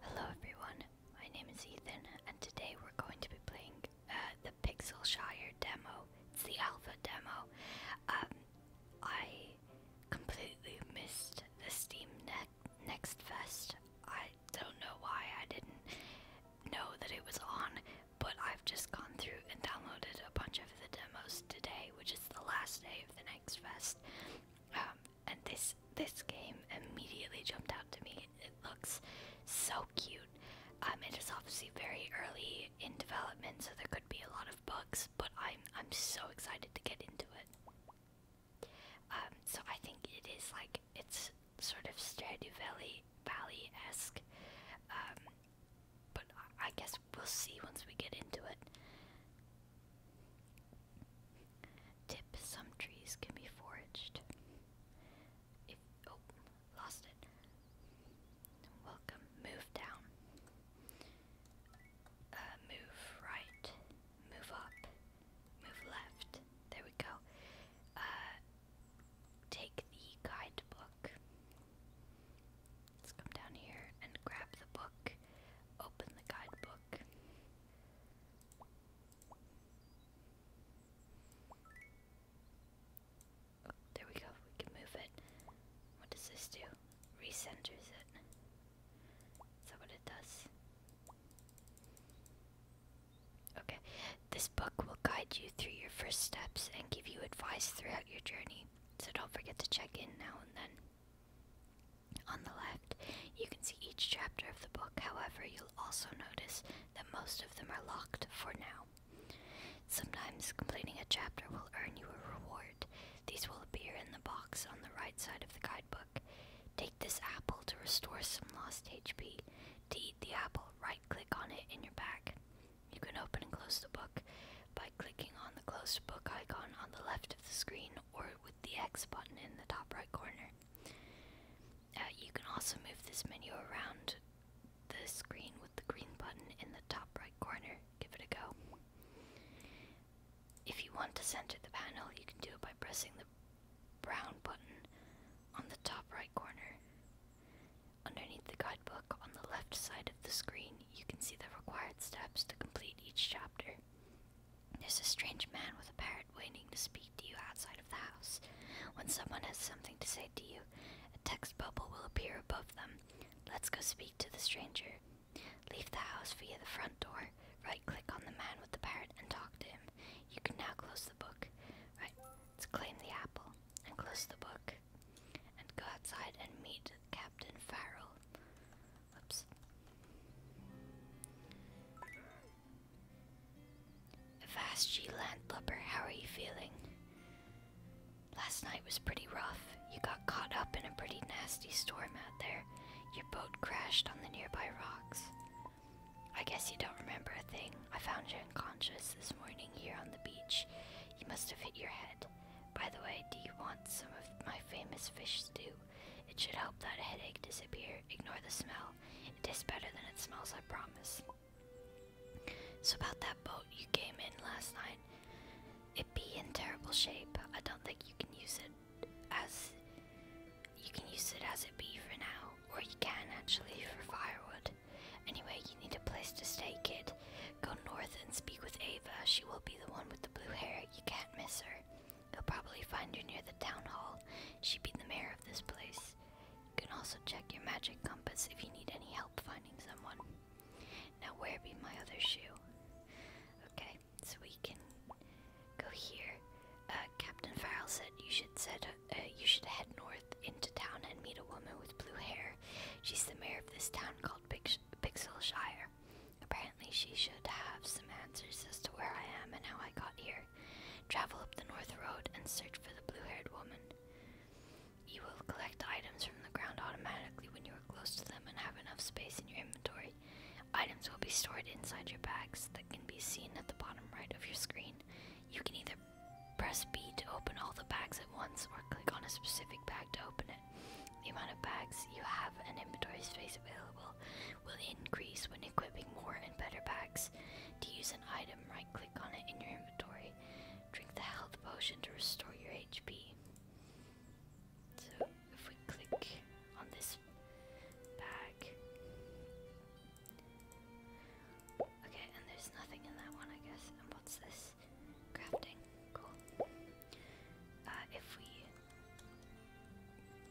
Hello everyone, my name is Ethan, and today we're going to be playing uh, the Pixel Shire demo. It's the alpha demo. Um, I completely missed the Steam Next Fest. I don't know why I didn't know that it was on, but I've just gone through and downloaded a bunch of the demos today, which is the last day of the Next Fest. Um, and this this game immediately jumped out to me. It looks so cute. Um, it is obviously very early in development, so there could be a lot of bugs. But I'm I'm so excited to get into it. Um, so I think it is like it's sort of Stardew Valley Valley esque. Um, but I guess we'll see once we get into it. Tip some trees can be foraged. oh, lost it. Welcome. Move down. Uh, move right. Move up. Move left. There we go. Uh, take the guidebook. Let's come down here and grab the book. Open the guidebook there we go. We can move it. What does this do? Recenters it. Is that what it does? Okay. This book will guide you through your first steps and give you advice throughout your journey. So don't forget to check in now and then. On the left, you can see each chapter of the book, however, you'll also notice that most of them are locked for now. Sometimes completing a chapter will earn you a reward. These will appear in the box on the right side of the guidebook. Take this apple to restore some lost HP. To eat the apple, right click on it in your bag. You can open and close the book by clicking on the closed book icon on the left of the screen or with the X button in the top right corner. Uh, you can also move this menu around the screen with the green button in the top right corner. Give it a go. If you want to center the panel, you can do it by pressing the brown button on the top right corner. Underneath the guidebook, on the left side of the screen, you can see the required steps to complete each chapter. There's a strange man with a parrot waiting to speak to you outside of the house. When someone has something to say to you, a text bubble will appear above them. Let's go speak to the stranger. Leave the house via the front door. Right click on the man with the parrot and talk to him. You can now close the book. Right, let's claim the apple and close the book. And go outside and meet Captain Farrell. Whoops. Vashji Landlubber, how are you feeling? Last night was pretty rough. You got caught up in a pretty nasty storm out there. Your boat crashed on the nearby rocks. I guess you don't remember a thing. I found you unconscious this morning here on the beach. You must have hit your head. By the way, do you want some of my famous fish stew? It should help that headache disappear Ignore the smell. It is better than it smells, I promise. So, about that boat you came in last night, it be in terrible shape. I don't think you can use it as. You can use it as it be for now, or you can actually for firewood. Anyway, you need a place to stay, kid. Go north and speak with Ava. She will be the one with the blue hair. You can't miss her. He'll probably find you near the town hall. She'd be the mayor of this place. You can also check your magic compass if you need any help finding someone. Now, where be my other shoe? Okay, so we can go here. Uh, Captain Farrell said you should set, uh, you should head north into town and meet a woman with blue hair. She's the mayor of this town called Pix Pixel she should have some answers as to where I am and how I got here. Travel up the North Road and search for the blue haired woman. You will collect items from the ground automatically when you are close to them and have enough space in your inventory. Items will be stored inside your bags that can be seen at the bottom right of your screen. You can either press B to open all the bags at once or click on a specific bag to open it. The amount of bags you have and inventory space available will increase when equipping more and better packs, to use an item, right click on it in your inventory. Drink the health potion to restore your HP. So, if we click on this bag. Okay, and there's nothing in that one, I guess. And what's this? Crafting. Cool. Uh, if we.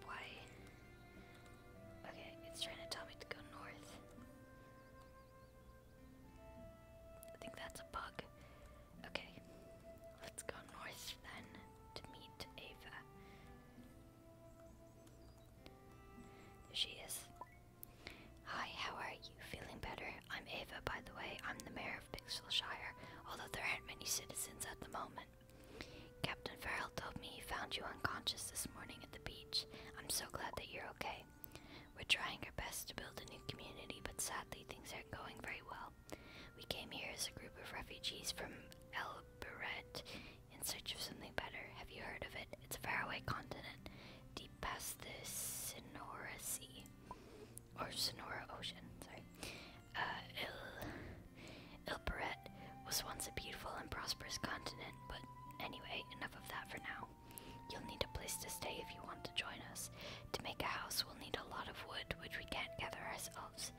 Why? Okay, it's trying to tell me to go north. I think that's a bug. Okay, let's go north then to meet Ava. There she is. Hi, how are you? Feeling better? I'm Ava, by the way. I'm the mayor of Pixelshire, although there aren't many citizens at the moment. Captain Farrell told me he found you unconscious this morning at the beach. I'm so glad that you're okay. We're trying our best to build a new community, but sadly, things aren't going very well. We came here as a group of refugees from El Beret in search of something better. Have you heard of it? It's a faraway continent, deep past the Sonora Sea. Or Sonora Ocean, sorry. Uh, Il, Il was once a beautiful and prosperous continent, but anyway, enough of that for now. You'll need a place to stay if you want to join us. To make a house, we'll need a lot of wood, which we can't gather ourselves.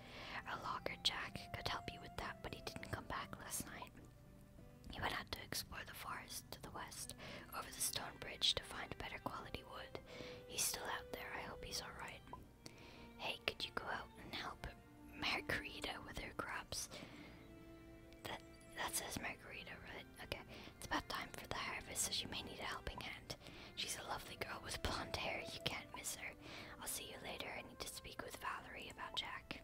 Our logger Jack could help you with that, but he didn't come back last night. He went out to explore the forest to the west, over the stone bridge, to find better quality wood. He's still out there. I hope he's alright. Hey, could you go out and help Margarita with her crops? That that says Margarita, right? Okay. It's about time for the harvest, so she may need a helping hand. She's a lovely girl with blonde hair. You can't miss her. I'll see you later. I need to speak with Valerie about Jack.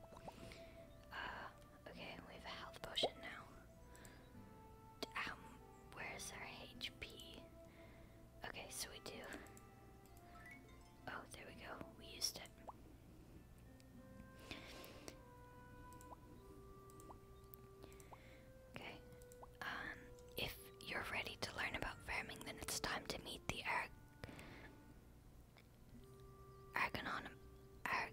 Uh, okay, we have a health potion now. Um, where's our HP? Okay, so we do. Oh, there we go. We used it. Okay. Um, if you're ready to learn about farming, then it's time to meet the Ar Argonom Ar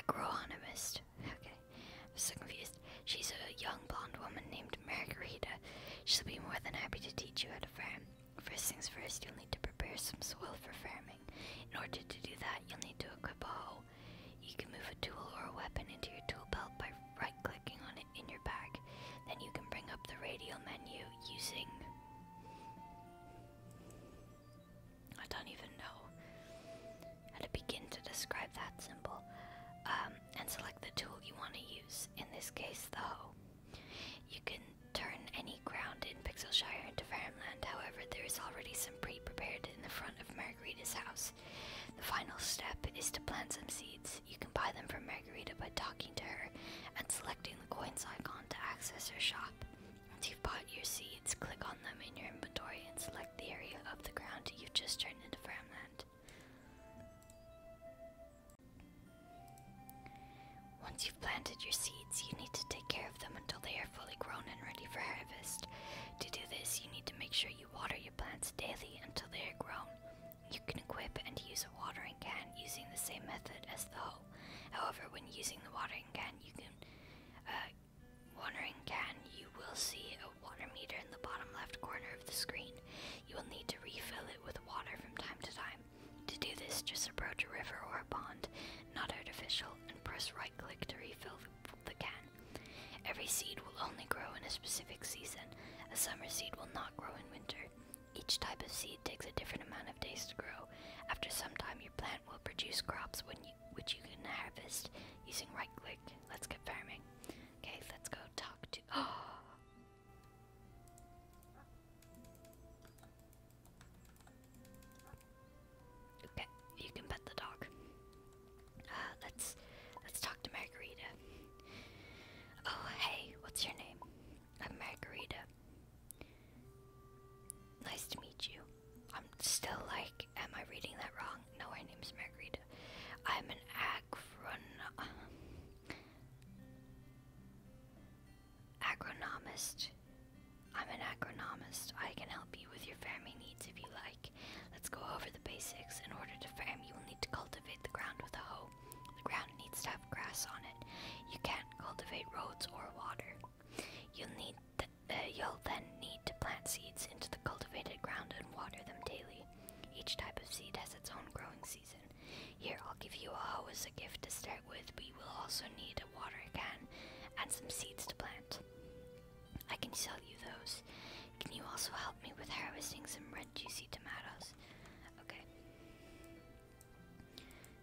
agronomist. Okay. I'm so confused. She's a young blonde woman named Margarita. She'll be more than happy to teach you how to farm. First things first, you'll need to prepare some soil for farming. In order to do that, you'll need to equip a hoe. You can move a tool or a weapon into your tool belt by right clicking on it in your bag. Then you can bring up the radial menu using. I don't even know how to begin to describe that symbol. Um, and select the tool you want to use, in this case, the hoe. You can turn any ground in Pixelshire into farmland, however, there is already some pre prepared in the front of Margarita's house. The final step is to plant some seeds. You can buy them from Margarita by talking to her and selecting the coins icon to access her shop. Once you've bought your seeds, click on them in your inventory and select the area of the ground you've just turned into farmland. Once you've planted your seeds, you need to take care of them until they are fully grown and ready for harvest. To do this, you need to make sure you water your plants daily until they are grown. You can equip and use a watering can using the same method as the hoe. However, when using the watering can, you uh, watering can, you will see a water meter in the bottom left corner of the screen. You will need to refill it with water from time to time. To do this, just approach a river or a pond, not artificial, and press right click to refill the can. Every seed will only grow in a specific season. A summer seed will not grow in winter. Each type of seed takes a different amount of days to grow. After some time, your plant will produce crops which you can harvest using right click. Let's get farming. Okay, let's go talk to. Oh, Okay, you can pet the dog. Uh, let's let's talk to Margarita. Oh hey, what's your name? I'm Margarita. Nice to meet you. I'm still like, am I reading that wrong? No, her name's Margarita. I'm an agron. Agronomist. I'm an agronomist. I can help you with your farming needs if you like. Let's go over the basics. In order to farm, you will need to cultivate the ground with a hoe. The ground needs to have grass on it. You can't cultivate roads or water. You'll need th uh, you'll then need to plant seeds into the cultivated ground and water them daily. Each type of seed has its own growing season. Here, I'll give you a hoe as a gift to start with, but you will also need a water can and some seeds to plant. I can sell you those. Can you also help me with harvesting some red juicy tomatoes? Okay.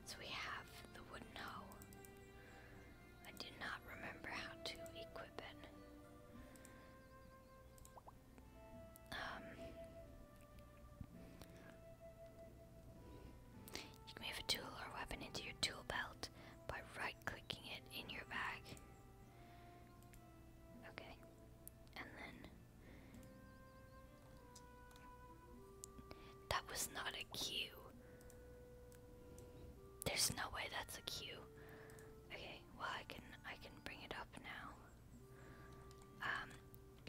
So we have the wooden hoe. I do not remember how to equip it. Um, you can move a tool or weapon into your tool belt by right clicking it in your bag. Okay, and then. That was not a cue. There's no way that's a cue. Okay, well I can I can bring it up now. Um,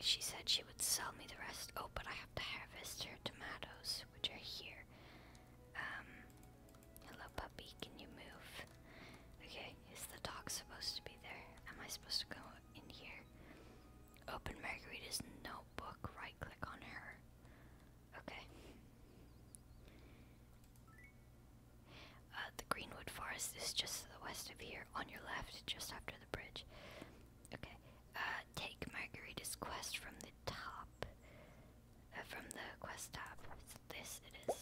she said she would sell me the rest. Oh, but I have to harvest her tomatoes, which are here. Um, hello puppy, can you move? Okay, is the dog supposed to be there? Am I supposed to go in here? Open Margarita's notebook, right click on her. Okay. Uh, the Greenwood Forest is just to the west of here, on your left, just after the bridge. Okay. Uh, take Margarita's quest from the top. Uh, from the quest top. this it is.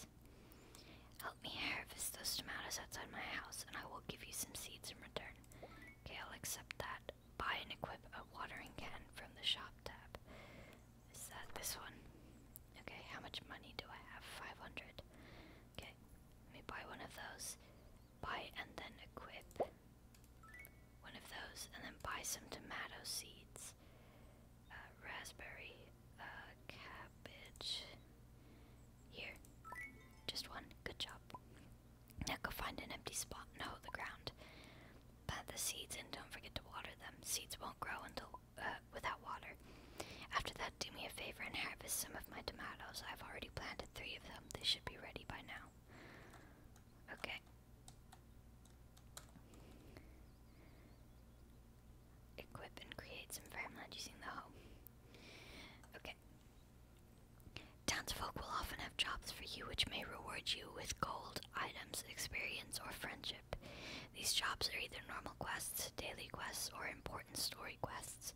Help me harvest those tomatoes outside my house, and I will give you some seeds in return. Okay, I'll accept that. Buy and equip a watering can from the shop tab. Is that this one? Okay, how much money do I have? 500. Okay, let me buy one of those. Buy and then equip one of those, and then buy some tomato seeds, uh, raspberry, uh, cabbage. Here, just one. Good job. Now go find an empty spot. No, the ground. Plant the seeds and don't forget to water them. Seeds won't grow until uh, without water. After that, do me a favor and harvest some of my tomatoes. I've already planted three of them. They should be ready by now. Okay. Equip and create some farmland using the hoe. Okay. Townsfolk will often have jobs for you which may reward you with gold, items, experience, or friendship. These jobs are either normal quests, daily quests, or important story quests.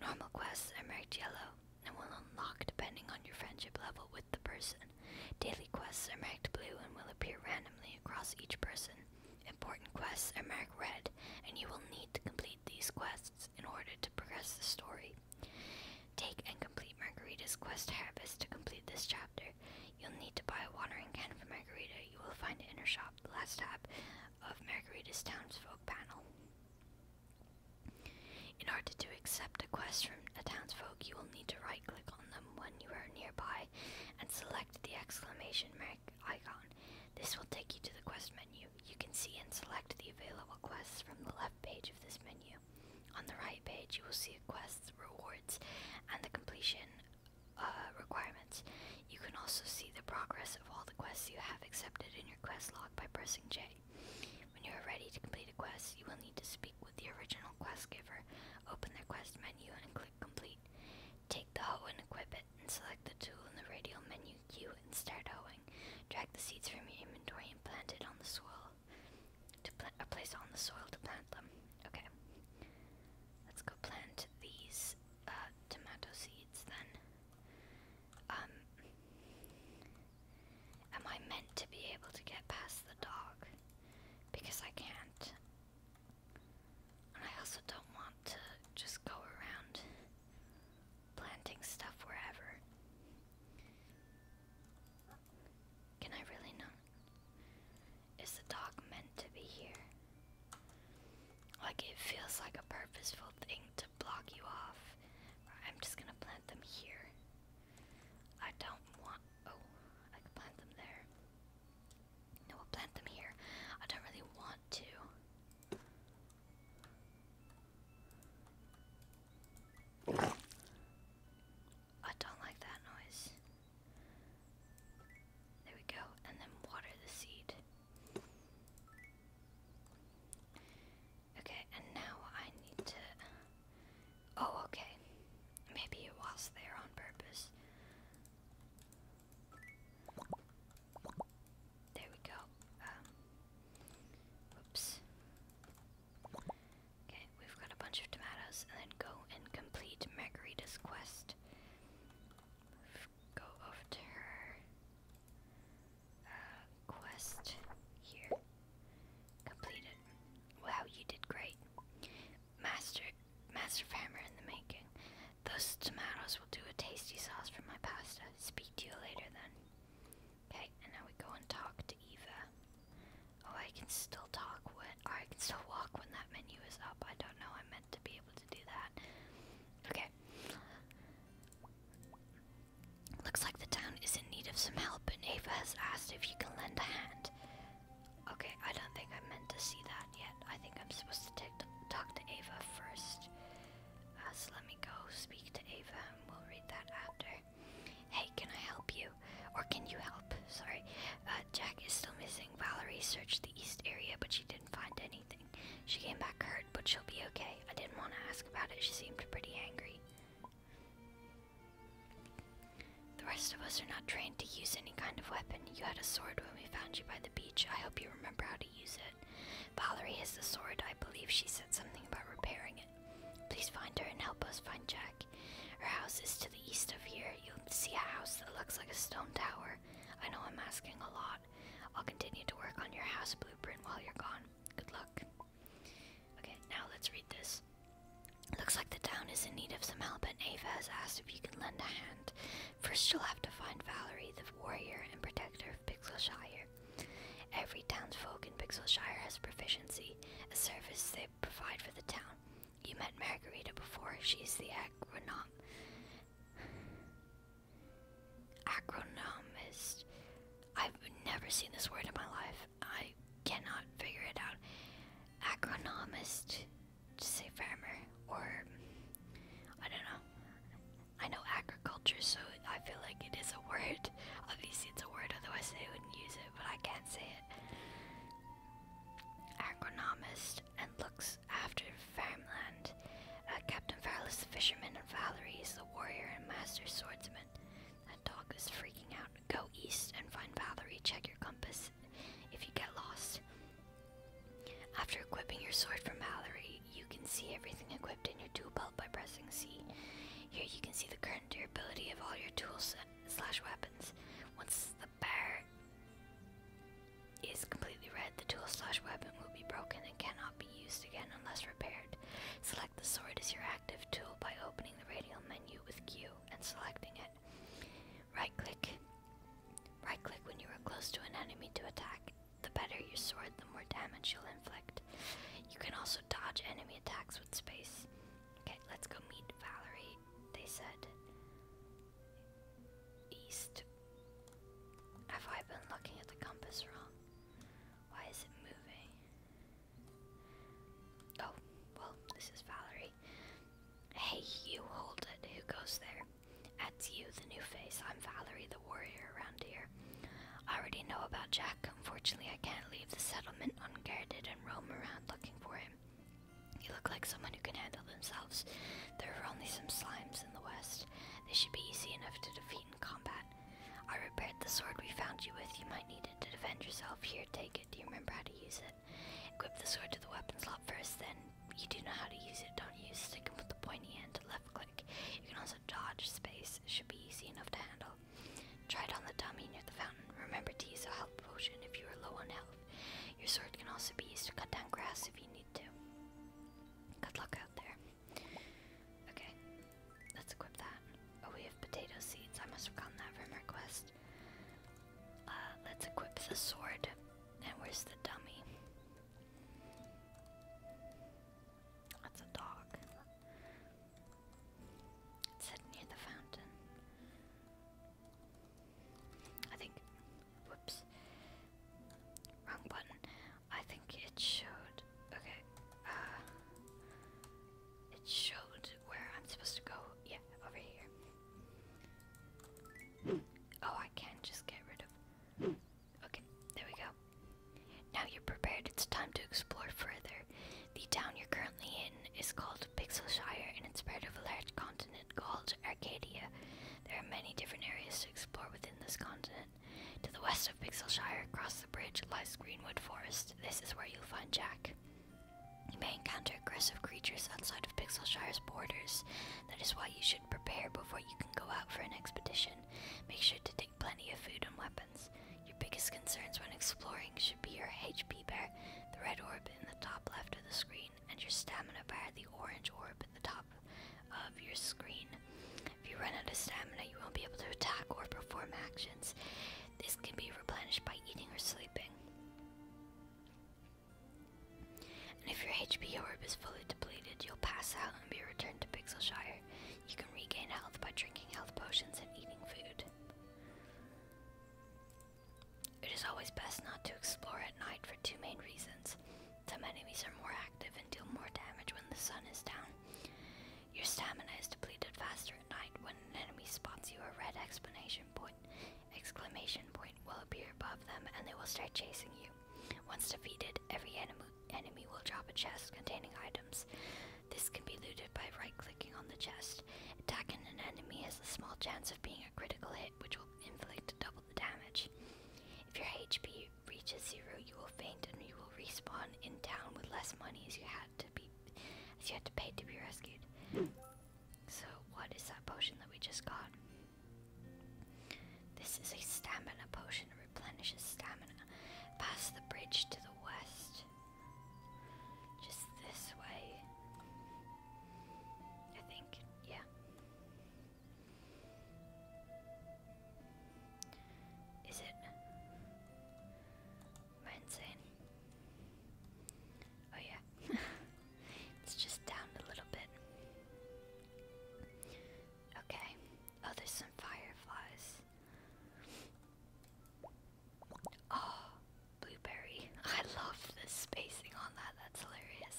Normal quests are marked yellow and will unlock depending on your friendship level with the person. Daily quests are marked blue and will appear randomly across each person. Important quests are marked red, and you will need to complete these quests in order to progress the story. Take and complete Margarita's quest harvest to complete this chapter. You'll need to buy a watering can for Margarita. You will find it in her shop, the last tab of Margarita's townsfolk panel. In order to accept a quest from a townsfolk, you will need to right click on them when you are nearby and select the exclamation mark icon. This will take you to the quest menu. You can see and select the available quests from the left page of this menu. On the right page, you will see quests, rewards, and the completion uh, requirements. You can also see the progress of all the quests you have accepted in your quest log by pressing J. When you are ready to complete a quest, you will need to speak with the original quest giver, open their quest menu and click complete. Take the hoe and equip it, and select the tool in the radial menu queue and start hoeing. Drag the seeds from your inventory and plant it on the soil. To plant, uh, place on the soil to plant them. Okay. Let's go plant these uh, tomato seeds then. Um, am I meant to be able to get past the dog? Because I can't. And I also don't want to just go around planting stuff wherever. Can I really not? Is the dog meant to be here? Like, it feels like a purposeful thing to block you off. I'm just gonna plant them here. I don't want. Oh, I could plant them there. No, I'll plant them here. I don't really want to. I don't like that noise. There we go, and then water the seed. Okay, and now I need to. Oh, okay. Maybe it was there on purpose. There we go. Um, oops. Okay, we've got a bunch of tomatoes, and then go and complete Margarita's quest go after her uh, quest here. Completed. Wow, you did great. Master, master farmer in the making. Those tomatoes will do a tasty sauce for my pasta. Speak to you later then. Okay, and now we go and talk to Eva. Oh, I can still talk when, or I can still walk when that menu is up. I don't know. I meant to be able to do that. Okay. Looks like the town is in need of some help, and Ava has asked if you can lend a hand. Okay, I don't think I meant to see that yet. I think I'm supposed to talk to Ava first. Uh, so let me go speak to Ava, and we'll read that after. Hey, can I help you? Or can you help? Sorry. Uh, Jack is still missing. Valerie searched the east area, but she didn't find anything. She came back hurt, but she'll be okay. I didn't want to ask about it, she seemed pretty angry. The rest of us are not trained to use any kind of weapon. You had a sword when we found you by the beach. I hope you remember how to use it. Valerie has the sword. I believe she said something about repairing it. Please find her and help us find Jack. Her house is to the east of here. You'll see a house that looks like a stone tower. I know I'm asking a lot. I'll continue to work on your house blueprint while you're gone. Good luck. Okay, now let's read this. Looks like the town is in need of some help, and Ava has asked if you can lend a hand. First, you'll have to find Valerie, the warrior and protector of Pixelshire. Every townsfolk in Pixelshire has proficiency, a service they provide for the town. You met Margarita before, she's the agronom. Acronomist. I've never seen this word in my life. I cannot figure it out. Agronomist, to say farmer, or I don't know. I know agriculture, so I feel like it is a word. Obviously, it's a word, otherwise, they wouldn't use it, but I can't say it. Agronomist and looks after farmland. Uh, Captain Farrell is a fisherman, and Valerie is the warrior and master swordsman. That dog is freaking out. Go east and find Valerie. Check your compass if you get lost. After equipping your sword from Valerie, you can see everything equipped in your tool belt by pressing C. Here you can see the current durability of all your tools slash weapons. Once the bar is completely red, the tool slash weapon will be broken and cannot be used again unless repaired. Select the sword as your active tool by opening the radial menu with Q and selecting it. Right click. Right click when you are close to an enemy to attack. The better your sword, the more damage you'll inflict. You can also dodge enemy attacks with space. Okay, let's go meet Valerie, they said. East. Have I been looking at the compass wrong? Why is it moving? Oh, well, this is Valerie. Hey, you hold it. Who goes there? That's you, the new face. I'm Valerie, the warrior around here. I already know about Jack. Unfortunately, I can't leave the settlement unguarded and roam around looking for him. You look like someone who can handle themselves. There are only some slimes in the west. They should be easy enough to defeat combat. I repaired the sword we found you with. You might need it to defend yourself. Here, take it. Do you remember how to use it? Equip the sword to the weapon slot first, then you do know how to use it. Don't use stick and with the pointy end to left click. You can also dodge space. should be easy enough to handle. Try it on the dummy near the fountain. Remember to use a health potion if you are low on health. Your sword can also be used to cut down grass if you need to. Good luck out there. Okay, let's equip that. Oh, we have potato seeds. I must have gotten that from our quest. Uh, let's equip the sword. And where's the dummy? That's a dog. It's sitting near the fountain. I think. Whoops. Wrong button. I think it showed. Okay. Uh, it showed where I'm supposed to go. Yeah, over here. Oh, I can just get rid of. Okay, there we go. Now you're prepared, it's time to explore further. The town you're currently in is called Pixelshire and it's part of a large continent called Arcadia. There are many different areas to explore within this continent. To the west of Pixelshire, across the bridge, lies Greenwood Forest. This is where you'll find Jack. You may encounter aggressive creatures outside of Pixelshire's borders. That is why you should prepare before you can go out for an expedition. Make sure to take plenty of food and weapons. Your biggest concerns when exploring should be your HP bar, the red orb in the top left of the screen, and your stamina bar, the orange orb at the top of your screen. If you run out of stamina, you won't be able to attack or perform actions. This can be replenished by eating or sleeping. And if your HP orb is fully depleted, you'll pass out and be returned to Pixelshire. You can regain health by drinking health potions and eating food. It is always best not to explore at night for two main reasons. Some enemies are more active and deal more damage when the sun is down. Your stamina is depleted faster at night. When an enemy spots you, a red exclamation point exclamation point will appear above them and they will start chasing you. Once defeated, every enemy enemy will drop a chest containing items. This can be looted by right-clicking on the chest. Attacking an enemy has a small chance of being a critical hit, which will inflict double the damage. If your HP reaches zero, you will faint and you will respawn in town with less money as you had to be as you had to pay to be rescued. So what is that potion that we just got? This is a stamina potion. It replenishes stamina. Pass the bridge to the west. Just this way. I think, yeah. Is it? Am I insane? Oh yeah. it's just down a little bit. Okay. Oh, there's some fireflies. Oh, blueberry. I love the spacing on that. That's hilarious.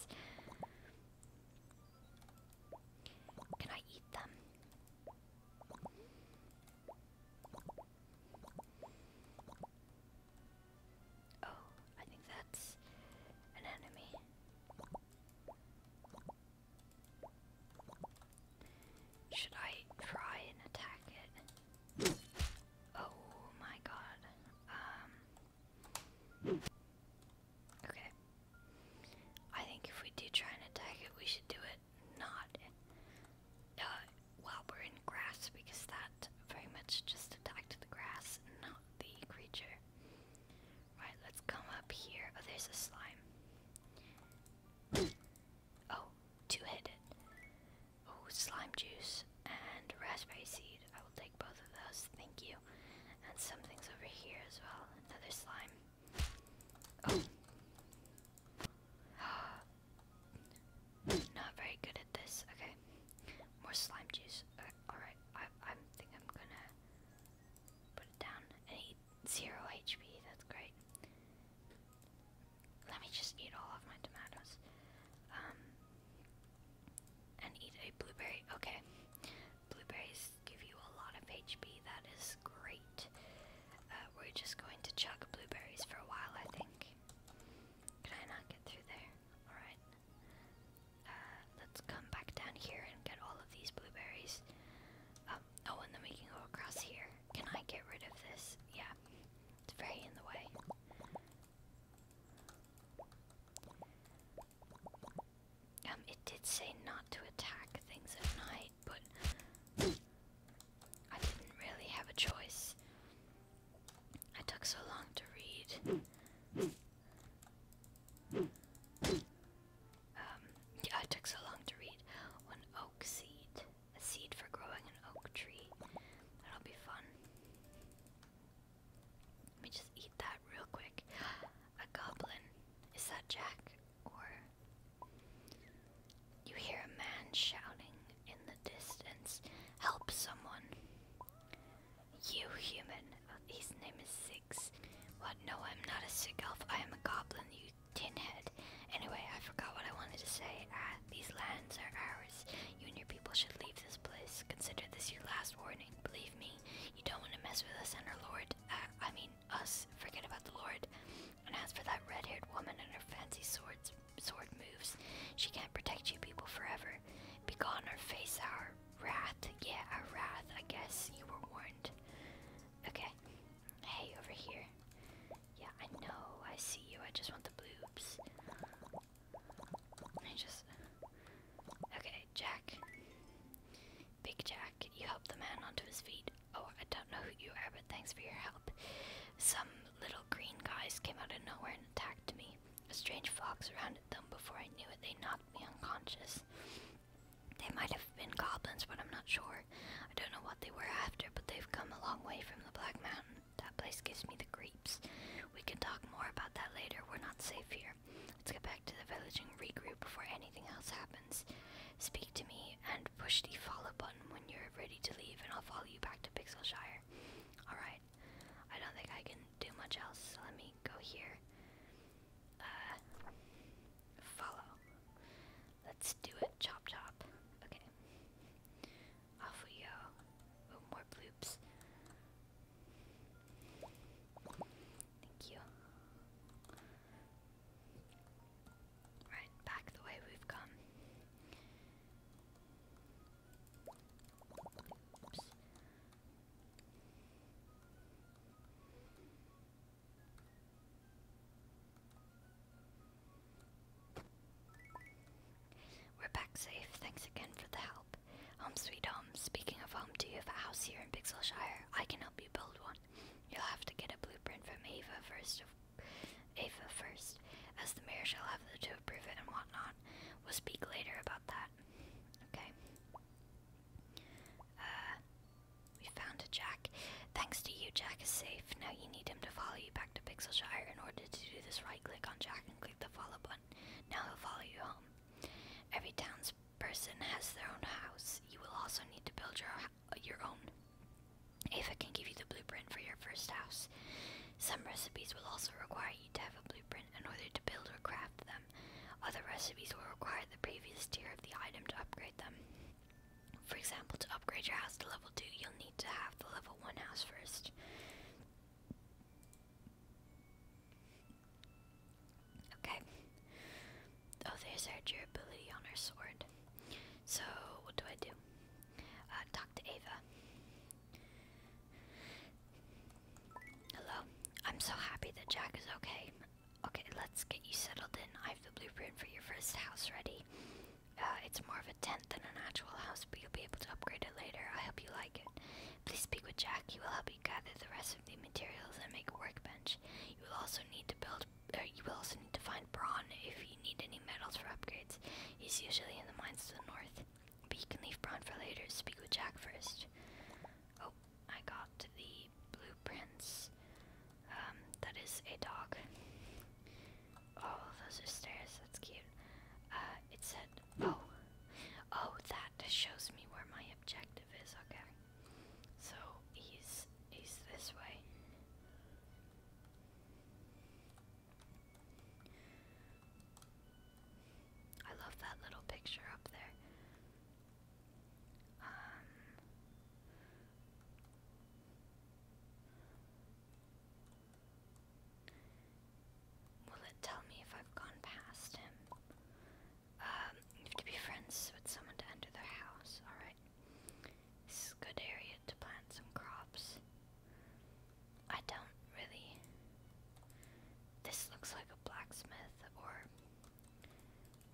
Can I eat them? Oh, I think that's an enemy. Should I try and attack it? Oh my god. Um, Okay. I think if we do try and attack it, we should do it not uh, while we're in grass because that very much just attacked the grass, not the creature. Right, let's come up here. Oh, there's a slime. oh, two headed. Oh, slime juice and raspberry seed. I will take both of those, thank you. And something's over here as well. Another slime. Oh. Not very good at this. Okay. More slime juice. Alright. I, I think I'm gonna put it down zero HP. That's great. Let me just eat all of my tomatoes. Um. And eat a blueberry. Okay. Blueberries give you a lot of HP, that is great. Uh, we're just going to chuck blueberries for a while, I think. Can I not get through there? Alright. Uh, let's come back down here and get all of these blueberries. Um, oh, and then we can go across here. Can I get rid of this? Yeah, it's very in the way. Um, it did say not to attack things at night, but I didn't really have a choice. I took so long to read. Um, yeah, I took so long to read. One oak seed. A seed for growing an oak tree. That'll be fun. Let me just eat that real quick. A goblin. Is that Jack? Or. You hear a man shouting in the distance. Help someone. You human. Oh, his name is Six. What? No, I'm not a sick elf. I am a goblin, you tinhead. Anyway, I forgot what I wanted to say. Ah, these lands are ours. You and your people should leave this place. Consider this your last warning. Believe me, you don't want to mess with us and our lord. Uh, I mean, us, forget about the Lord. And as for that red haired woman and her fancy swords, sword moves, she can't protect you people forever. Begone or face our wrath. Yeah, our wrath, I guess. You were warned. Okay. Hey, over here. Yeah, I know. I see you. I just want the bloobs. I just. Okay, Jack. Big Jack, you helped the man onto his feet. Oh, I don't know who you are, but thanks for your help. Some little green guys came out of nowhere and attacked me. A strange fog surrounded them before I knew it. They knocked me unconscious. They might have been goblins, but I'm not sure. I don't know what they were after, but they've come a long way from the Black Mountain. That place gives me the creeps. We can talk more about that later. We're not safe here. Let's get back to the village and regroup before anything else happens. Speak to me and push the follow button when you're ready to leave, and I'll follow you back to Pixelshire. Alright. I don't think I can do much else, let me go here. Uh, follow. Let's do it. Chop chop. Okay. Off we go. more bloops. Thank you. Right, back the way we've come. We're back safe, thanks again for the help. Home sweet home, speaking of home, do you have a house here in Pixelshire? I can help you build one. You'll have to get a blueprint from Ava first. Ava first, as the mayor shall have the to approve it and whatnot. We'll speak later about that. Okay. Uh, we found a Jack. Thanks to you, Jack is safe. Now you need him to follow you back to Pixelshire. In order to do this, right-click on Jack and click the follow button. Now he'll follow you home. Every town's person has their own house, you will also need to build your, your own. Ava can give you the blueprint for your first house. Some recipes will also require you to have a blueprint in order to build or craft them. Other recipes will require the previous tier of the item to upgrade them. For example, to upgrade your house to level 2, you'll need to have the level 1 house first. Okay. Oh, there's our durability on our sword. So, what do I do? Uh, talk to Ava. Hello. I'm so happy that Jack is okay. Okay, let's get you settled in. I have the blueprint for your first house ready. Uh, it's more of a tent than an actual house, but you'll be able to upgrade it later. I hope you like it. Please speak with Jack. He will help you gather the rest the materials and make a workbench. You will also need to build, uh, you will also need to find brawn if you need any metals for upgrades. He's usually in the mines to the north, but you can leave brawn for later. Speak with Jack first. Oh, I got the blueprints. Um, that is a dog. Oh, those are stairs. That's cute. Uh, it said, oh, oh, that shows me where my objective is. Okay. So he's he's this way. I love that little picture up there. Um, will it tell me if I've gone past him? Um, you have to be friends with someone to enter their house, alright? This is a good area to plant some crops. I don't really. This looks like a blacksmith or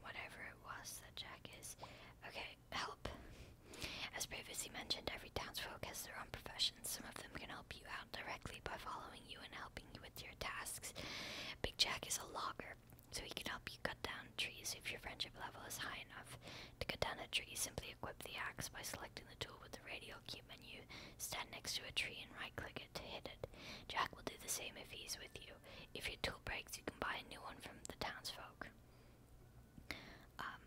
whatever it was that Jack is. Okay, help. As previously mentioned, every townsfolk has their own profession. Some of them can help you out directly by following you and helping you with your tasks. Big Jack is a logger, so he can help you cut down trees if your friendship level is high enough. To cut down a tree, simply equip the axe by selecting the tool with the radial key menu, stand next to a tree and right click it to hit it. Jack will do the same if he's with you. If your tool breaks, you can buy a new one from the townsfolk. Um,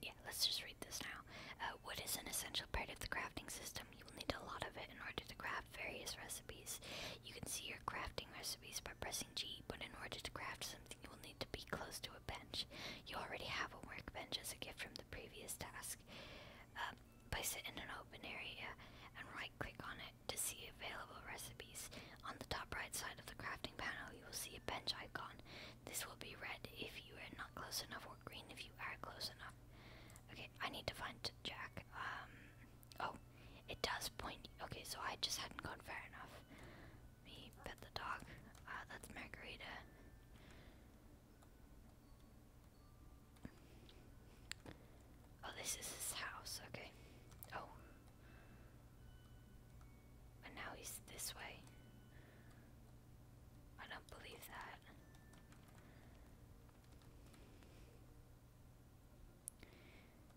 yeah, let's just read this now. Uh, wood is an essential part of the crafting system. You will need a lot of it in order to craft various recipes. You can see your crafting recipes by pressing G, but in order to craft something, you will need to be close to a bench. You already have a workbench as a gift from the previous task. Uh, um, place it in an open area and right click on it to see available recipes. On the top right side of the crafting panel, you will see a bench icon. This will be red if you are not close enough, or green if you are close enough. Okay, I need to find Jack. Um, Oh, it does point. Okay, so I just hadn't gone far enough. Me pet the dog. Uh, that's Margarita. Oh, this is his house. Okay. Oh. And now he's this way. I don't believe that.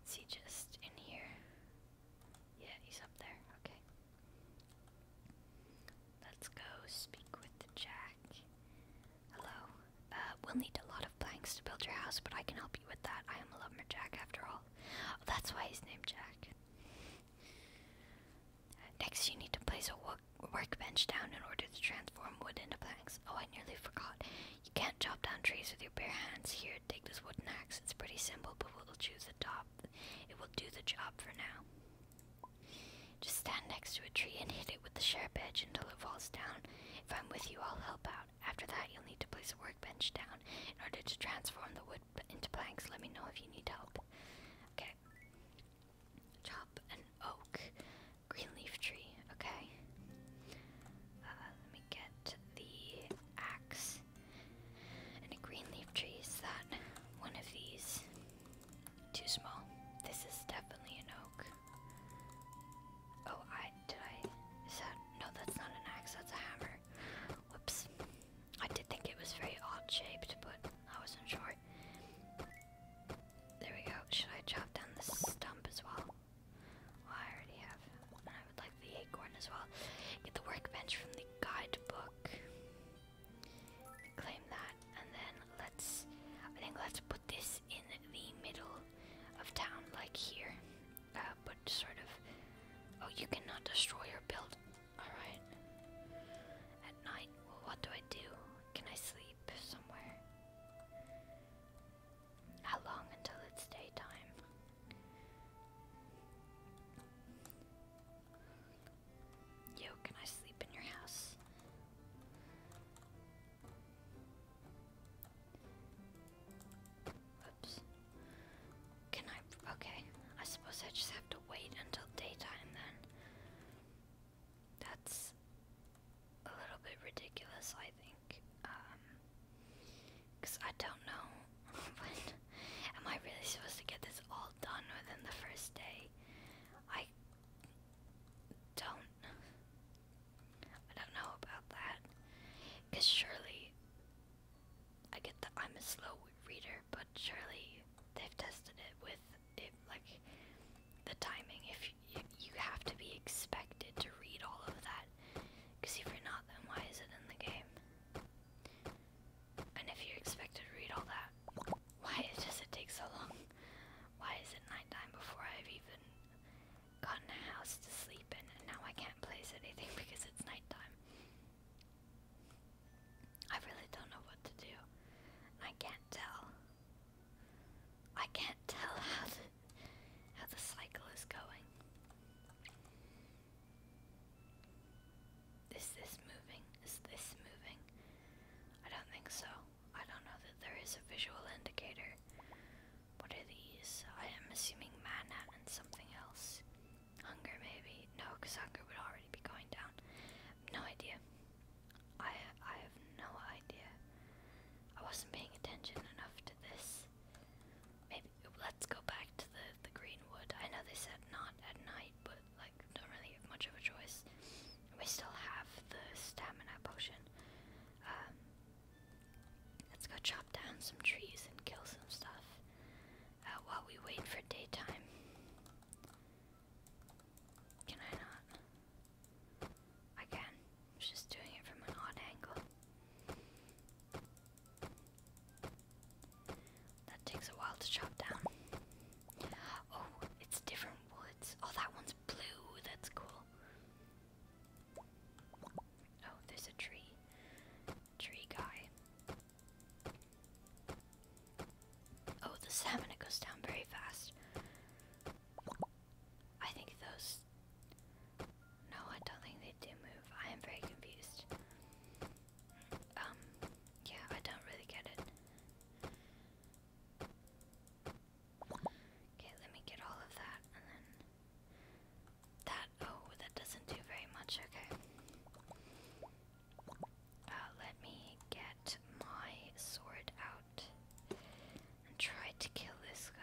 Is he just in here? Yeah, he's up there. Okay. Let's go speak with the jack. Hello. Uh, we'll need a lot of planks to build your house, but I can help you with that. I am a lumberjack after all. Oh, that's why he's named Jack. Uh, next, you need to place a workbench down in order to transform wood into planks. Oh, I nearly forgot. You can't chop down trees with your bare hands. Here, take this wooden axe. It's pretty simple, but we'll choose the top. It will do the job for now. Just stand next to a tree and hit it with the sharp edge until it falls down. If I'm with you, I'll help out. After that, you'll need to place a workbench down. In order to transform the wood into planks, let me know if you need help. Okay. Chop an oak. Green leaf tree, okay. Uh, let me get the axe and a green leaf tree. Is that one of these? Too small. This is definitely an oak. Oh, I did I. Is that. No, that's not an axe, that's a hammer. Whoops. I did think it was very odd shaped, but I wasn't sure. There we go. Should I chop down the stump as well? I already have I would like the acorn as well. Get the workbench from the guidebook. Claim that. And then let's. I think let's put this in the middle of town, like here. Uh, but sort of. Oh, you cannot destroy your build. Alright. At night. Well, what do I do? Can I sleep somewhere? How long until it's daytime? Yo, can I sleep in your house? Oops. Can I? Okay. I suppose I just have to wait until daytime then. That's a little bit ridiculous, I think. because um, I don't know Am I really supposed to get this all done within the first day? I don't. I don't know about that. Because surely. I get that I'm a slow reader, but surely they've tested it with it, like the timing. If you, have to be expected to read all of that. Because if you're not, then why is it in the game? And if you're expected to read all that, why does it take so long? Why is it nighttime before I've even gotten a house to sleep in and now I can't place anything because it's nighttime? I really don't know what to do. I can't tell. I can't tell how how the cycle is going. Is this moving? Is this moving? I don't think so. I don't know that there is a visual indicator. What are these? I am assuming mana and something else. Hunger, maybe? No, because hunger would already be going down. No idea. I I have no idea. I wasn't paying attention enough to this. Maybe let's go back to the the greenwood. I know they said not at night, but like don't really have much of a choice. We still have the stamina potion. Um, let's go chop down some trees and kill some stuff uh, while we wait for daytime. Can I not? Again, I'm just doing it from an odd angle. That takes a while to chop down. Oh, it's different woods. Oh, that one's blue. That's cool. Oh, there's a tree. Tree guy. Oh, the stamina goes down very fast. I think those. No, I don't think they do move. I am very confused. Um, yeah, I don't really get it. Okay, let me get all of that and then. That. Oh, that doesn't do very much. Okay. Uh, let me get my sword out and try to kill this guy.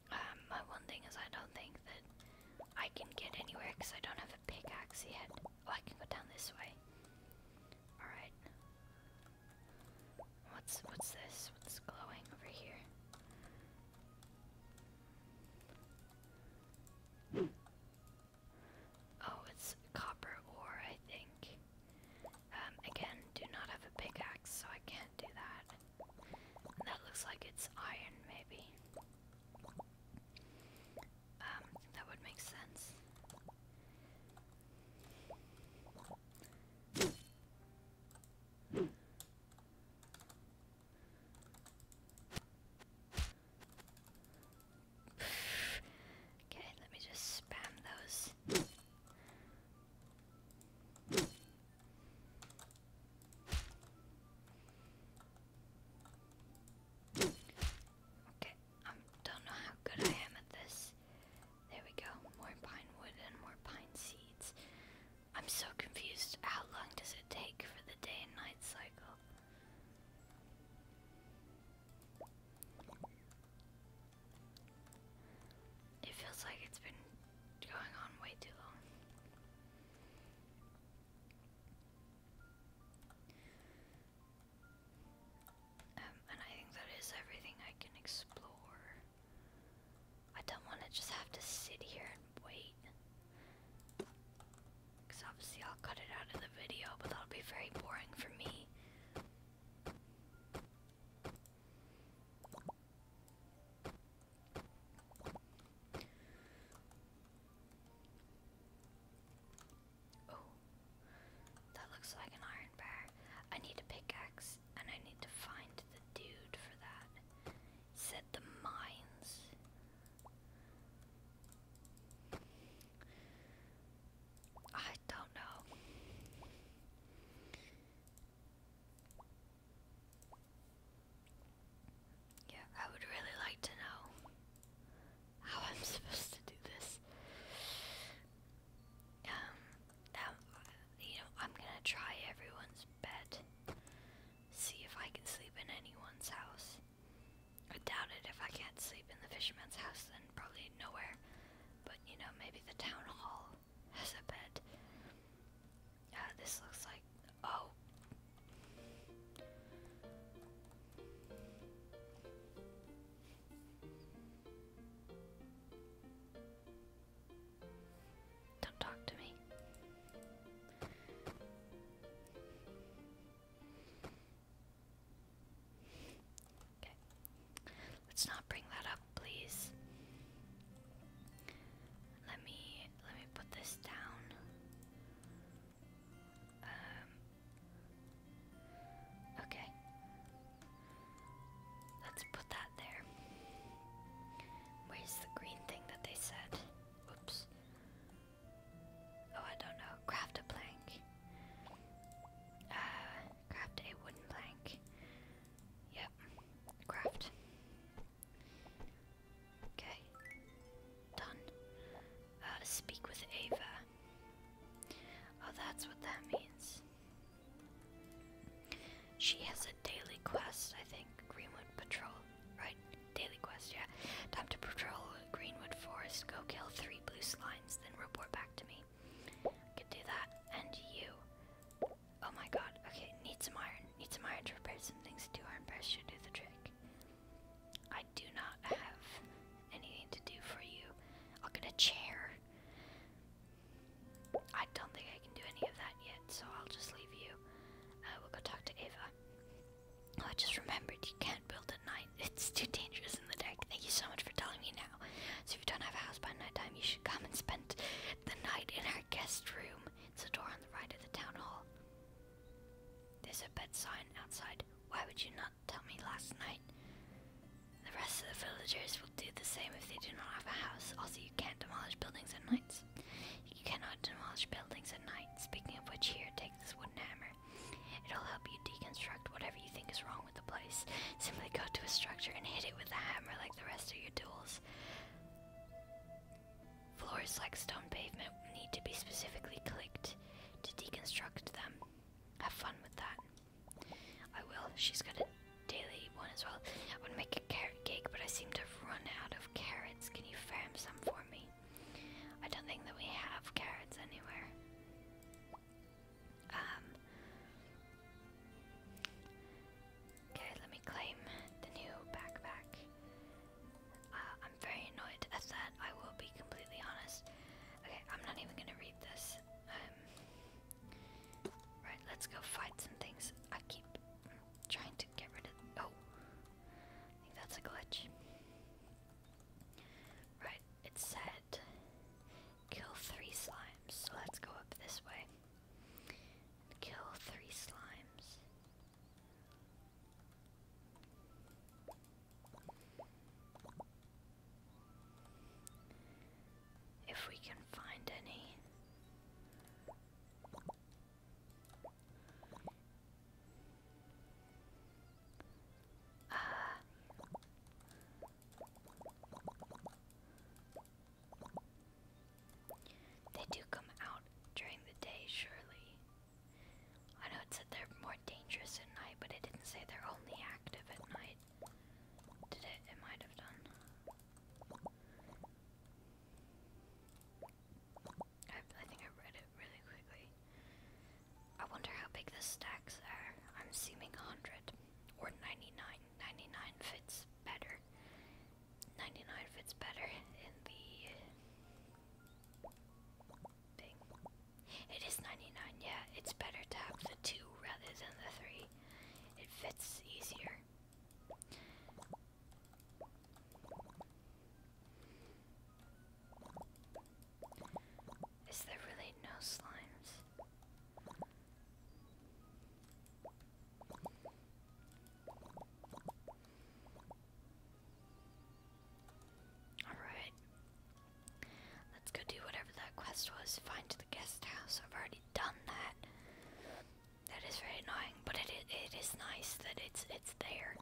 my um, one thing is I don't think that I can get anywhere because I don't have a pickaxe yet. Oh, I can go down this way. Alright. What's what's this? What's glowing over here? Oh, it's copper ore, I think. Um, again, do not have a pickaxe, so I can't do that. That looks like it's iron, maybe. Um, that would make sense. okay, let me just spam those. Okay, I um, don't know how good I am at this. There we go. More pine wood and more pine seeds. I'm so confused. How long does it take for the day and night cycle? It feels like it's been going on way too long. Um, and I think that is everything I can explore. I don't want to just have to sit here and wait. obviously I'll cut it out of the video, but that'll be very boring for me. Oh, that looks like an iron bar. I need a pickaxe, and I need to find the dude for that. Said the mines. I don't know. Yeah, I would really like to know how I'm supposed to do this. Um, you know, I'm gonna try everyone's bed. See if I can sleep in anyone's house. I doubt it. If I can't sleep in the fisherman's house, then probably nowhere. But you know, maybe the town hall has a bed. Yeah, this looks like. Oh. Don't talk to me. Okay. Let's not bring that up, please. Let me let me put this down. Um, okay. Let's put that there. Where's the green thing that they said? Oops. Oh, I don't know. Craft a plank. Uh, craft a wooden plank. Yep. Craft. Okay. Done. Uh, speak with Ava. Oh, that's what that means. She has a daily quest, I think. Greenwood Patrol. Right? Daily quest, yeah. Time to patrol Greenwood Forest. Go kill three blue slimes, then report back to me. I do that. And you. Oh my god, okay, need some iron. Need some iron to repair some things. Two iron bars should do the trick. I do not have anything to do for you. I'll get a chair. I don't think I can do any of that yet, so I'll just leave you. I uh, will go talk to Ava. Oh, I just remembered you can't build at night. It's too dangerous in the deck. Thank you so much for telling me now. So if you don't have a house by nighttime, you should come and spend the night in our guest room. It's the door on the right of the town hall. There's a bed sign outside. Why would you not tell me last night? The rest of the villagers will do the same if they do not have a house. Also, you can't demolish buildings at night. You cannot demolish buildings at night. Speaking of which, here, take this wooden hammer. It'll help you deconstruct whatever you think is wrong with the place. Simply go to a structure and hit it with the hammer like the rest of your tools. Floors like stone pavement need to be specifically clicked to deconstruct them. Have fun with that. I will. She's got a daily one as well. I want to make a carrot cake, but I seem to have run out of carrots. Can you farm some for me? I don't think that we have carrots anywhere. Um. Okay, let me claim the new backpack. Uh, I'm very annoyed at that, I will be completely honest. Okay, I'm not even gonna read this. Um, right, let's go fight some things. I keep trying to get rid of. Oh! I think that's a glitch. Right, it said kill three slimes, so let's go up this way. Kill three slimes. If we can find any. Uh, they do come out during the day, surely. I know it said they're more dangerous at night, but it didn't say they're only active at night. Did it? It might have done. I, think I read it really quickly. I wonder how big the stacks are. I'm assuming 100 or 99. 99 fits better. 99 fits better in the thing. It is 99, yeah. It's better to have the 2 rather than the 3. It fits easier. Is there really no slimes? Alright. Let's go do whatever that quest was. Find the guest I've already done that. That is very annoying, but it, it is nice that it's it's there.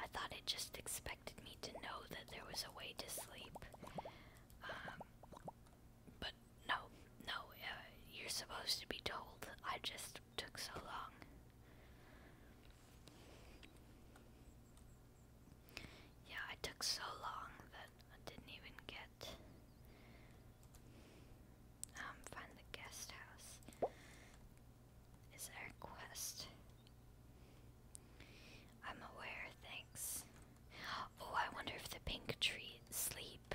I thought it just expected me to know that there was a way to sleep. Um, but no, no, uh, you're supposed to be told. I just took so long. Yeah, I took so long that I didn't even get um find the guest house. Is there a quest? I'm aware, thanks. Oh, I wonder if the pink tree sleep.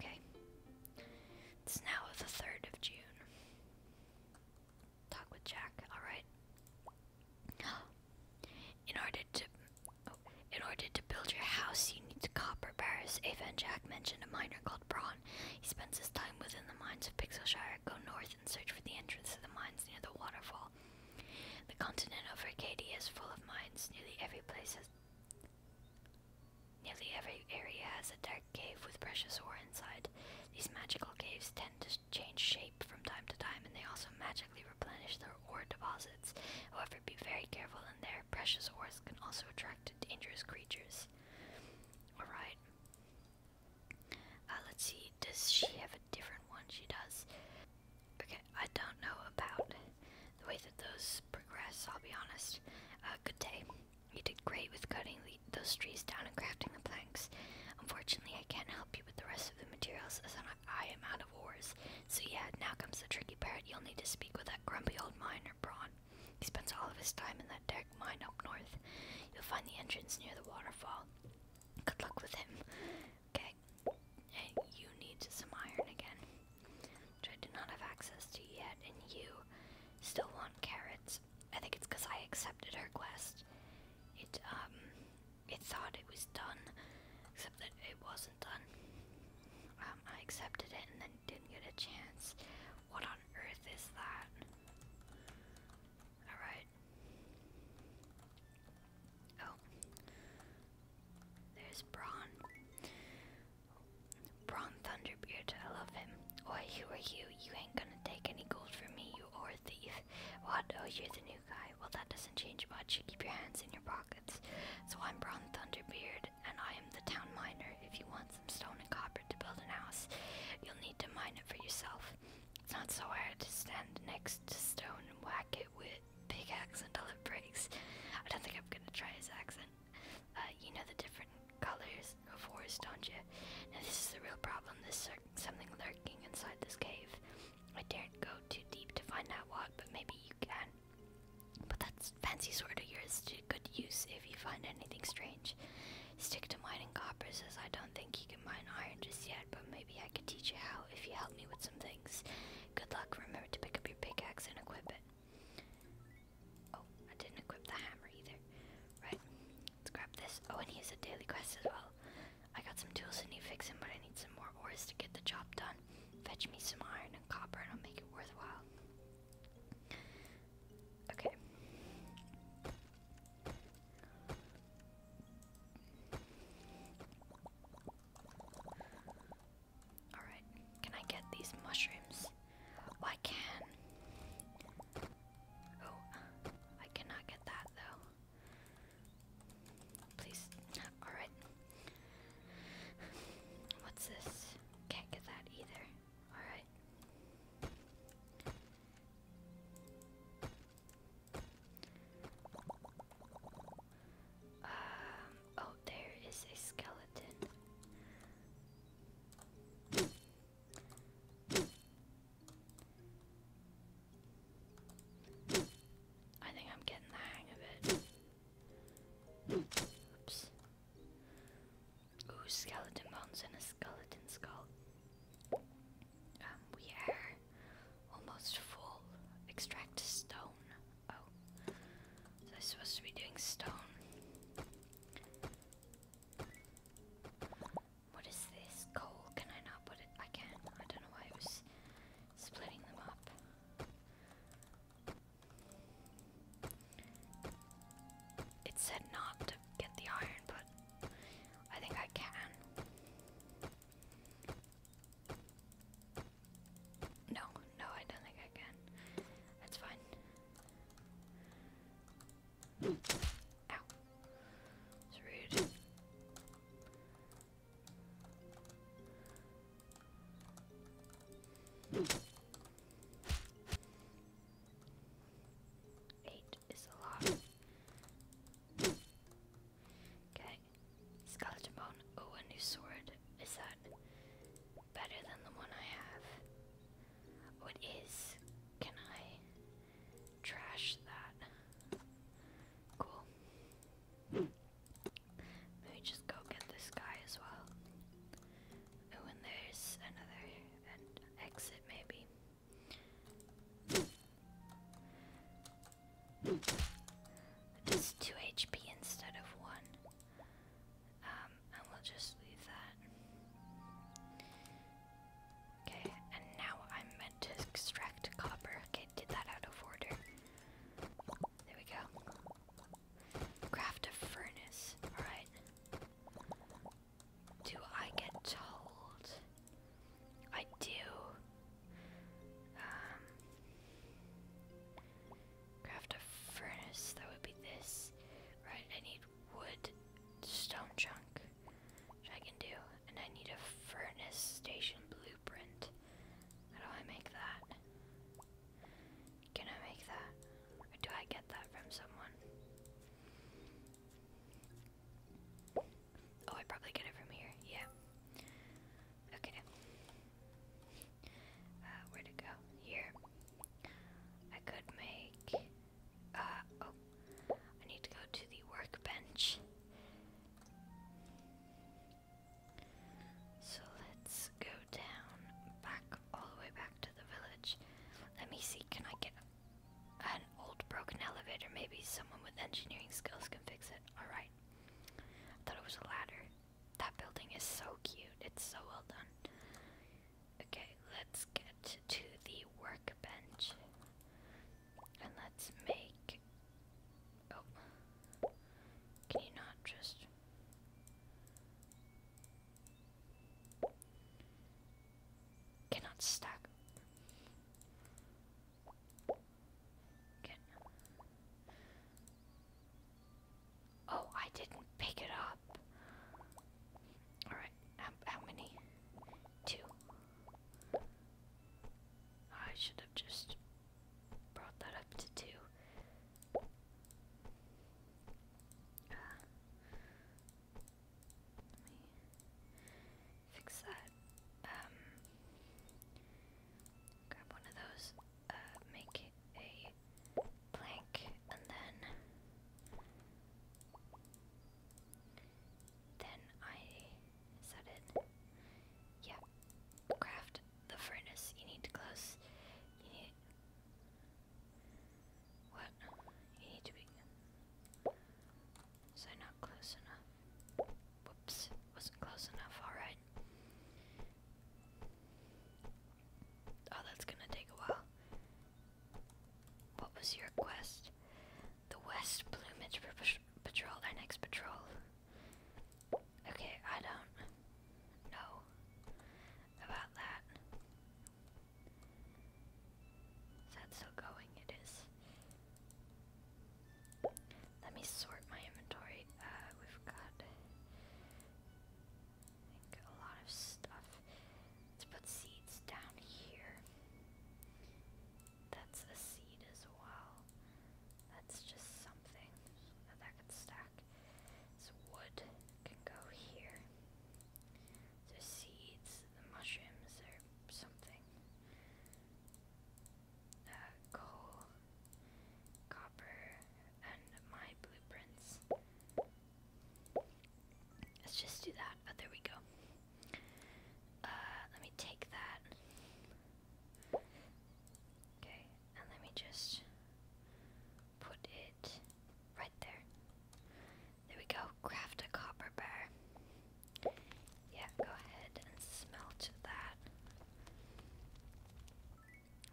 Okay. It's now the 3rd of June. Talk with Jack, alright. In order to oh, in order to build your house you need copper bars. Ava and Jack mentioned a miner called Braun. He spends his time within the mines of Pixelshire. Go north and search for the entrance to the mines near the waterfall. The continent of Arcadia is full of mines. Nearly every place has Nearly every area has a dark cave with precious ore inside. These magical caves tend to change shape from time to time and they also magically replenish their ore deposits. However, be very careful and their Precious ores can also attract dangerous creatures. Alright. Uh, let's see. Does she have a different one? She does. Okay, I don't know about the way that those progress. I'll be honest. Uh, good day. You did great with cutting those trees down and crafting the planks. Unfortunately, I can't help you with the rest of the materials as I am out of ores. So yeah, now comes the tricky part. You'll need to speak with that grumpy old miner, Braun. He spends all of his time in that dark mine up north. You'll find the entrance near the waterfall. Good luck with him. Okay. you need some iron again, which I did not have access to yet, and you still want carrots. I think it's because I accepted her quest. It, um, it thought it was done, except that it wasn't done. Um, I accepted it and then didn't get a chance. What on earth is that? Alright. Oh. There's Braun. Braun Thunderbeard, I love him. Oi, who are you? You ain't gonna take any gold from me, you are a thief. What? Oh, you're the new guy. Well, that doesn't change much. You keep your hands in your pockets. So I'm Braun Thunderbeard, and I am the town miner. If you want some stone and copper to build a house, you'll need to mine it for yourself. It's not so hard to stand next to stone and whack it with big accent till it breaks. I don't think I'm gonna try his accent. Uh, you know the different colors of wars, don't you? Now this is the real problem. There's something lurking inside this cave. I daren't go too deep to find out what, but maybe you can. But that fancy sword of yours to good use if you find anything strange. Stick to mining copper, as I don't think you can mine iron just yet, but maybe I could teach you how if you help me with some things. Good luck. Remember to pick up your pickaxe and equip it. Oh, I didn't equip the hammer either. Right, let's grab this. Oh, and he has a daily quest as well. I got some tools and need fixing, but I need some more ores to get the job done. Fetch me some iron and copper, and I'll make it worthwhile. Okay. Alright, can I get these mushrooms? Oh, I can. Oh, I cannot get that though. Please. Alright. What's this? Can't get that either. Alright. Um, oh, there is a skeleton. I think I'm getting the hang of it. Oops. Ooh, skeleton bones and a skeleton skull. Um, we are almost full. Extract stone. Oh. So i supposed to be doing stone. What is this? Coal? Can I not put it? I can. I don't know why I was splitting them up. It said not to get the iron, but I think I can. No, no, I don't think I can. That's fine. Ow. It's rude. Eight is a lot. Okay, Skeleton bone. Oh, a new sword. Is that better than the one I have? Oh, it is. Can I trash that? Cool. Maybe just go get this guy as well. Oh, and there's another exit, maybe. Just 2 HP instead of 1. Um, and we'll just leave that. Okay, and now I'm meant to extract copper. Okay, did that out of order. There we go. Craft a furnace. Alright. Do I get told? I do. Um, Craft a furnace, that would be this. Right, I need wood, stone chunk, which I can do. And I need a furnace station blueprint. How do I make that? Can I make that? do I get that from someone? Oh, I probably get it from here, yeah. Okay. Uh, where to go? Here. I could make. Uh, oh. I need to go to the workbench. So let's go down, back, all the way back to the village. Let me see, can I get an old broken elevator? Maybe someone with engineering skills can fix it. Alright. thought it was a ladder. That building is so cute. It's so well done. Okay, let's get to the workbench. And let's make. Oh. Can you not just. Cannot stack. Oh, I didn't pick it up. Alright, how, many? Two. I should have just brought that up to two. Uh, let me fix that. Um, grab one of those uh, make a plank and then then I is it? Yeah. Craft the furnace. You need to close you need what? You need to be so not close enough. Whoops, wasn't close enough, alright. Oh, that's gonna take a while. What was your quest? The West Plumage Patrol, our next patrol. Okay, I don't know about that. Is that going? It is. Let me sort my inventory. Uh, we've got a lot of stuff. Let's put seeds down here. That's a seed as well. That's just something that could stack. So wood can go here. So seeds, the mushrooms, or something coal, copper, and my blueprints. Let's just do that. Oh, there we go. Uh, let me take that. Okay, and let me just put it right there. There we go. Craft a copper bar. Yeah, go ahead and smelt that.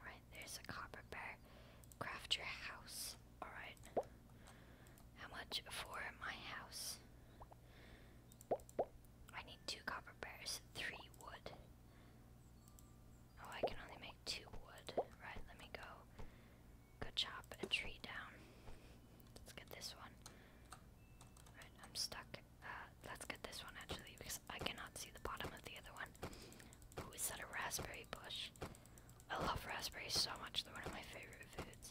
Right, there's a copper bear. Craft your house. Alright. How much for my house? I need two copper bars, three wood. Oh, I can only make two wood. Right, let me go. Go chop a tree down. Let's get this one. Alright, I'm stuck. Uh, let's get this one actually because I cannot see the bottom of the other one. Ooh, is that a raspberry bush? I love raspberries so much, they're one of my favorite foods.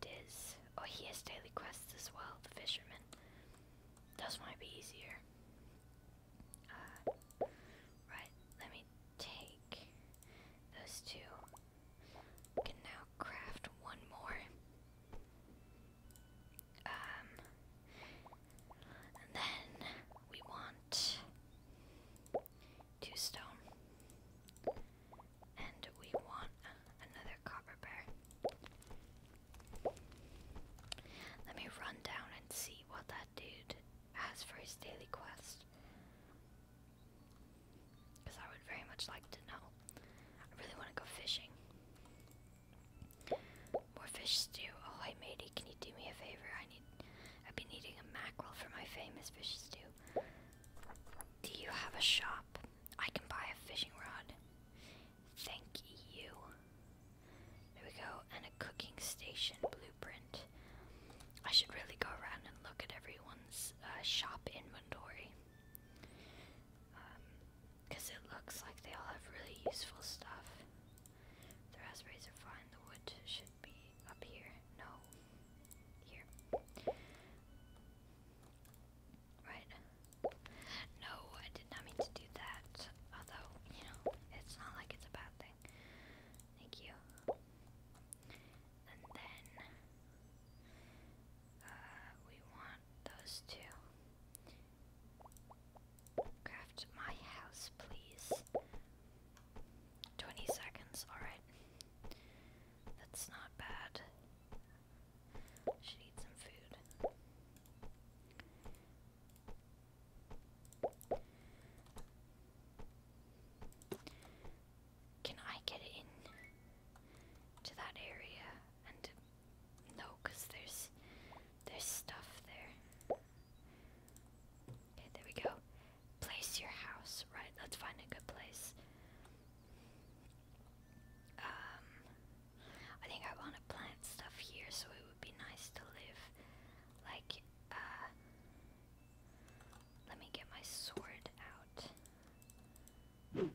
It is. Oh, he has daily quests as well, the fisherman. Those might be easier. Uh, right, let me take those two. can now craft one more. Um, then we want two stone, and we want another copper bear. Let me run down and see what that dude has for his daily quest. Because I would very much like to know. I really want to go fishing. More fish stew. Oh, hey matey, can you do me a favor? I need. I've been needing a mackerel for my famous fish stew. Do you have a shop? I can buy a fishing rod. Thank you. There we go. And a cooking station blueprint. I should really go around and look at everyone's uh, shop inventory. Because um, it looks like they all have really useful stuff. The raspberries are fine, the wood should be up here. No. Here. Right. No, I did not mean to do that. Although, you know, it's not like it's a bad thing. Thank you. And then, uh, we want those two. Craft my house, please. 20 seconds, alright. That's not bad. Should eat some food. Can I get in to that area and no, because there's there's stuff there. Okay, there we go. Place your house. Right, let's find a good place. Um I think I wanna plant stuff here so it would be nice to live. Like uh let me get my sword out. And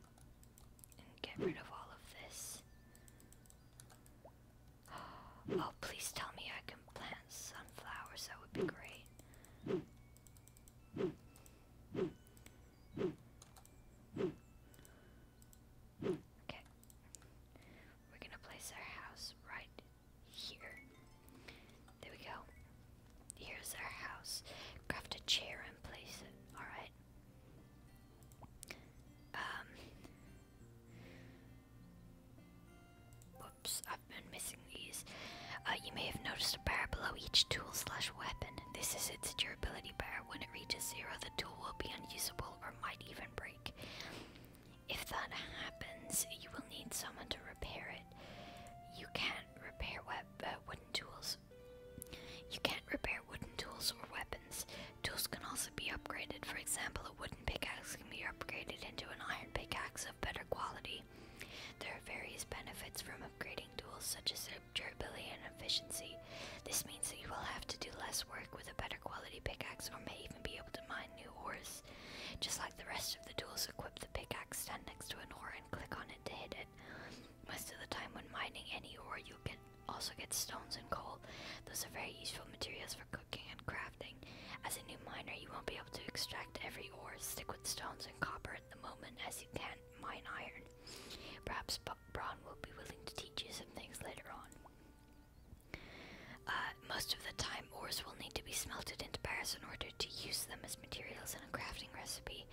get rid of all of this. Oh, please tell me I can plant sunflowers. That would be great. Okay. We're gonna place our house right here. There we go. Here's our house. Craft a chair and place it. Alright. Um. I've been missing these. Uh, you may have noticed a bar below each tool slash weapon. This is its durability bar. When it reaches zero, the tool will be unusable or might even break. If that happens, you will need someone to repair it. You can't repair web uh, wooden tools you can't repair wooden tools or weapons. Tools can also be upgraded. For example, a wooden pickaxe can be upgraded into an iron pickaxe of better quality. There are various benefits from upgrading tools, such as durability and efficiency. This means that you will have to do less work with a better quality pickaxe, or may even be able to mine new ores. Just like the rest of the tools, equip the pickaxe, stand next to an ore, and click on it to hit it. Most of the time when mining any ore, you can also get stones and coal. Those are very useful materials for cooking and crafting. As a new miner, you won't be able to extract every ore. Stick with stones and copper at the moment as you can mine iron. Perhaps B Braun will be willing to teach you some things later on. Uh, most of the time, ores will need to be smelted into bars in order to use them as materials in a crafting recipe.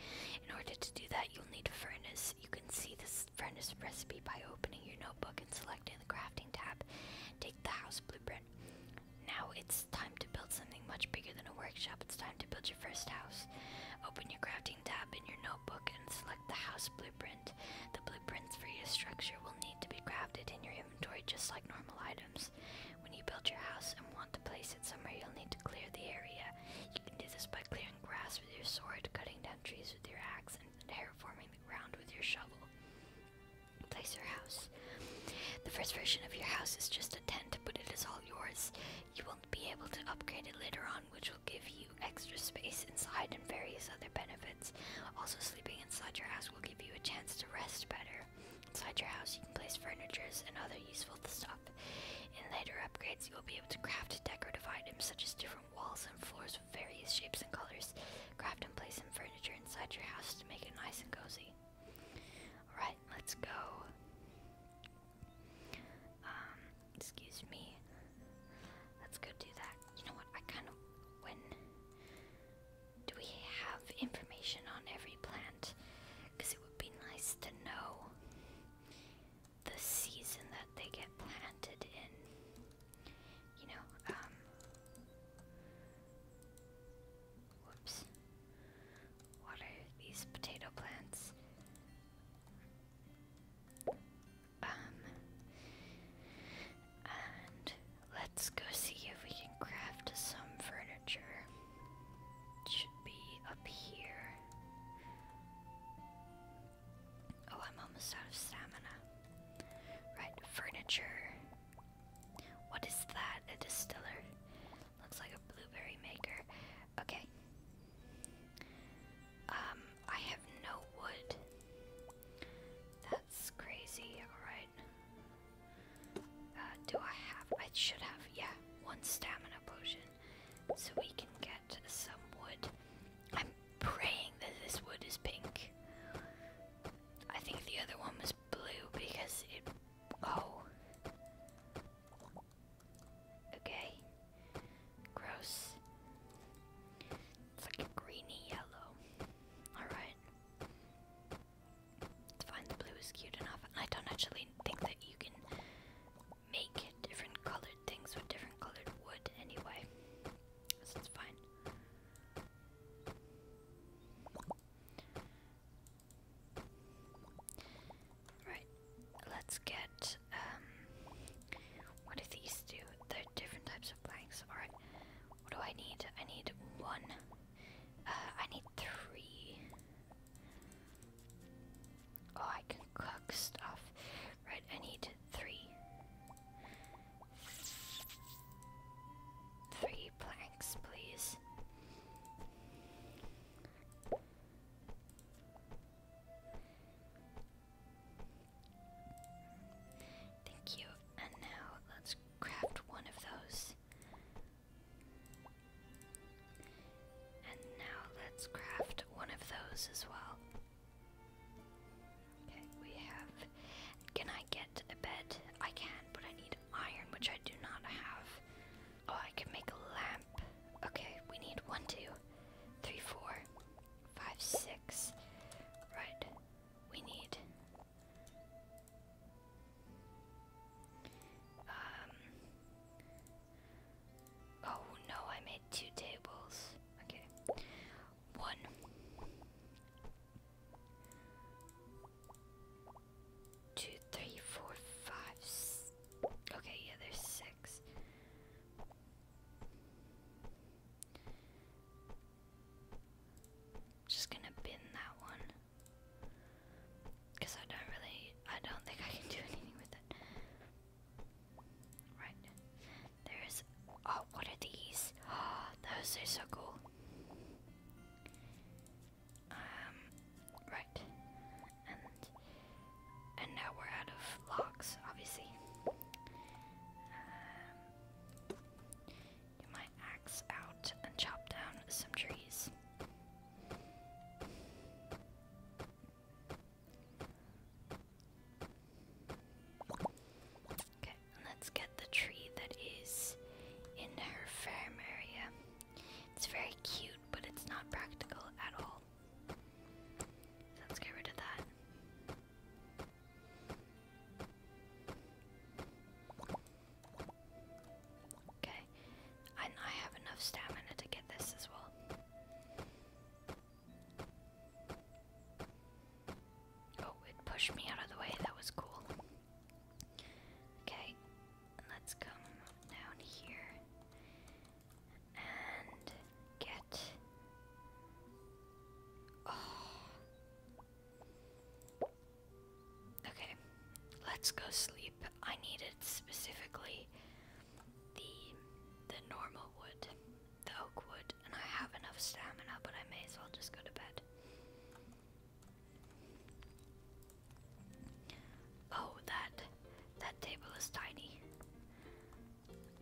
In order to do that, you'll need a furnace. You can see this furnace recipe by opening your notebook and selecting the crafting tab. Take the house blueprint. Now it's time to build something much bigger than a workshop. It's time to build your first house. Open your crafting tab in your notebook and select the house blueprint. The blueprints for your structure will need to be crafted in your inventory just like normal items. When you build your house and want to place it somewhere, you'll need to clear the area. You can do this by clearing grass with your sword, cutting down trees with your axe, and terraforming the ground with your shovel. Place your house. The first version of your house is just a tent, but it is all yours. You will be able to upgrade it later on, which will give you extra space inside and various other benefits. Also, sleeping inside your house will give you a chance to rest better. Inside your house, you can place furnitures and other useful stuff. In later upgrades, you will be able to craft decorative items such as different walls and floors with various shapes and colors. Craft and place some furniture inside your house to make it nice and cozy. Alright, let's go. Um, excuse me. Let's go do that. You know what? I kind of. When. Do we have information on every plant? Because it would be nice to know the season that they get planted in. You know, um, Whoops. What are these potato plants? Um. let's go see if we can craft some furniture. It should be up here. Oh, I'm almost out of stamina. Right, furniture. What is that? A distiller? Looks like a blueberry maker. Okay. Um, I have no wood. That's crazy, alright. Uh, do I have? I should have, yeah, one stamina potion. So we can get some wood. I'm praying that this wood is pink. I think the other one was blue because it. Oh. Okay. Gross. It's like a greeny yellow. Alright. It's fine, the blue is cute enough. I don't actually think that you can make different colored things with different colored wood anyway. So it's fine. Right, let's get, um, what do these do? They're different types of planks. Alright, what do I need? I need one. Uh, I need three. Oh, I can cook stuff. Right, I need three. Three planks, please. Thank you. And now let's craft one of those. And now let's craft one of those as well. Okay, we have. Can I get a bed? I can, but I need iron, which I do not have. Oh, I can make a lamp. Okay, we need one, two, three, four, five, six. Right, we need. Um, Oh no, I made two tables. Okay. One. okay, yeah, there's six. Just gonna bin that one. Cause I don't really, I don't think I can do anything with it. Right. There's. Oh, what are these? those are so cool. Um. Right. And. And now we're out of logs, obviously. Um. Get my axe out and chop down some trees. Okay, let's get the tree that is in her farm area. It's very cute, but it's not practical at all. let's get rid of that. Okay, and I have enough stamina to get this as well. Oh, it pushed me out of the way. That was cool. Okay, let's come down here and get. Oh. Okay, let's go sleep. I needed specifically the the normal wood, the oak wood, and I have enough stamina, but I may as well just go to bed. Oh, that that table is tiny.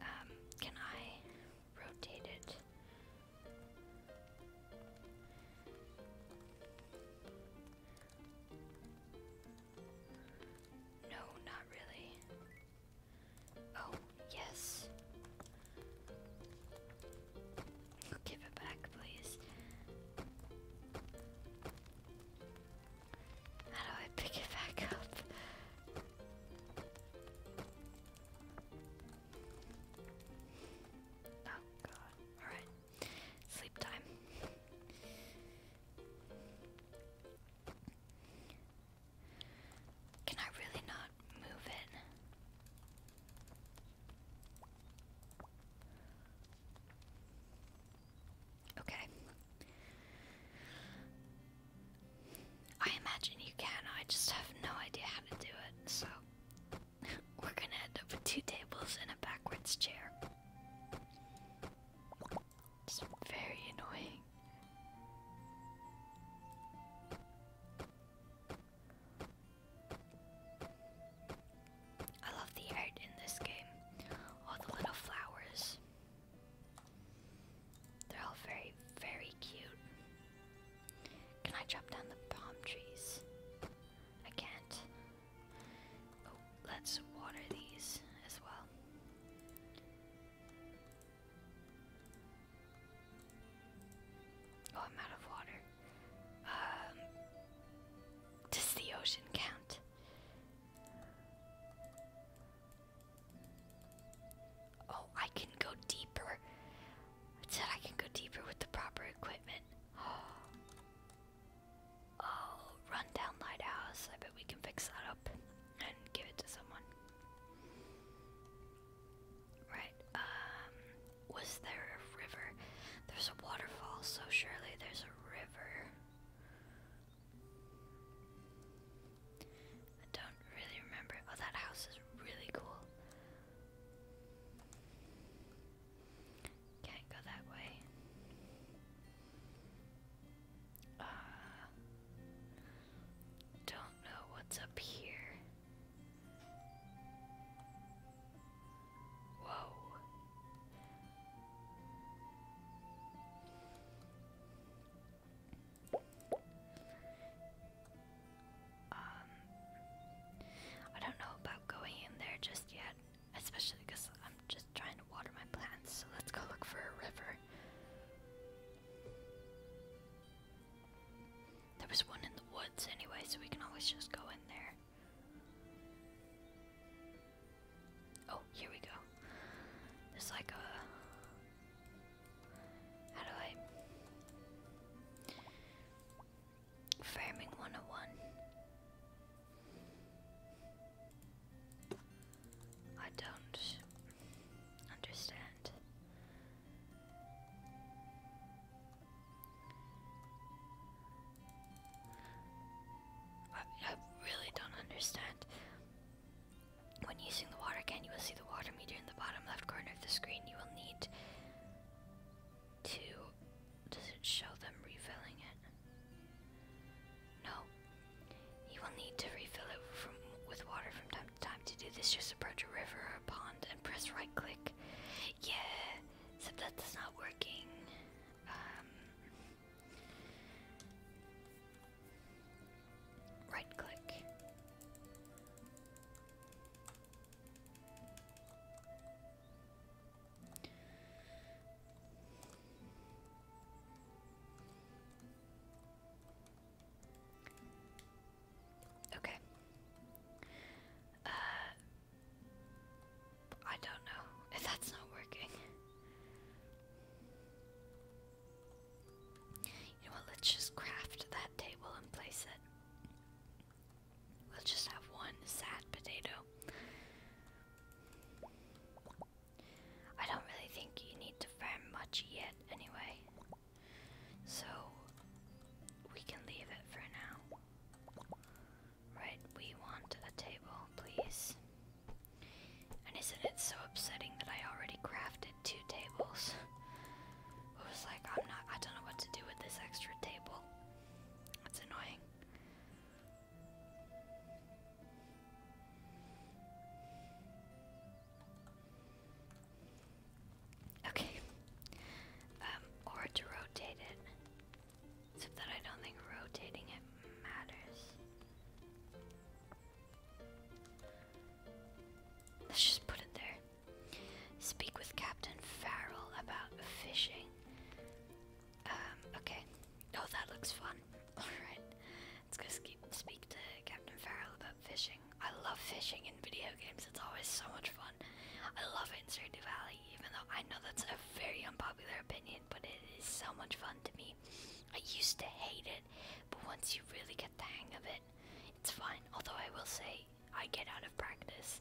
Um, can I rotate it? No, not really. Oh, yes. Give it back, please. How do I pick it back up? Oh god. Alright. Sleep time. Can I really not move it? Okay. I imagine you can, I just have no idea how to do it, so we're gonna end up with two tables and a backwards chair. It's very annoying. I love the art in this game. All the little flowers. They're all very, very cute. Can I chop down the palm trees? I can't. Oh, let's water these as well. Oh, I'm out of water. Um, does the ocean count? Oh, I can go deeper. It said I can go deeper with the proper equipment. Oh, Oh, rundown lighthouse. I bet we can fix that up and give it to someone. Right, um, was there a river? There's a waterfall, so surely there's a river. I don't really remember. Oh, that house is really cool. Can't go that way. Uh, don't know what's up here. Whoa. Um, I don't know about going in there just yet, especially because I'm just trying water my plants, so let's go look for a river. There was one in the woods anyway, so we can always just go in there. Oh, here we go. There's like a. How do I. Farming 101. I don't understand. I, really don't understand. When using the water can, you will see the water meter in the bottom left corner of the screen. You will need to. Does it show them refilling it? No. You will need to refill it with water from time to time. To do this, just approach a river or a pond and press right click. Yeah, except that's not working. Um, right click. Okay. Uh, I don't know that's not working. You know what? Let's just craft that table and place it. We'll just have one sad potato. I don't really think you need to farm much yet, anyway. So we can leave it for now. Right, we want a table, please. And isn't it so upsetting that I already crafted two tables? I was like, I'm not, I don't know what to do with this extra table. That's annoying. Okay. Um, or to rotate it. Except that I don't think rotating it matters. Let's just put it there. Speak with Captain Farrell about fishing. Um, okay. Oh, that looks fun. Alright, let's go speak to Captain Farrell about fishing. I love fishing in video games, it's always so much fun. I love it in Stardew Valley, even though I know that's a very unpopular opinion, but it is so much fun to me. I used to hate it, but once you really get the hang of it, it's fine. Although I will say, I get out of practice.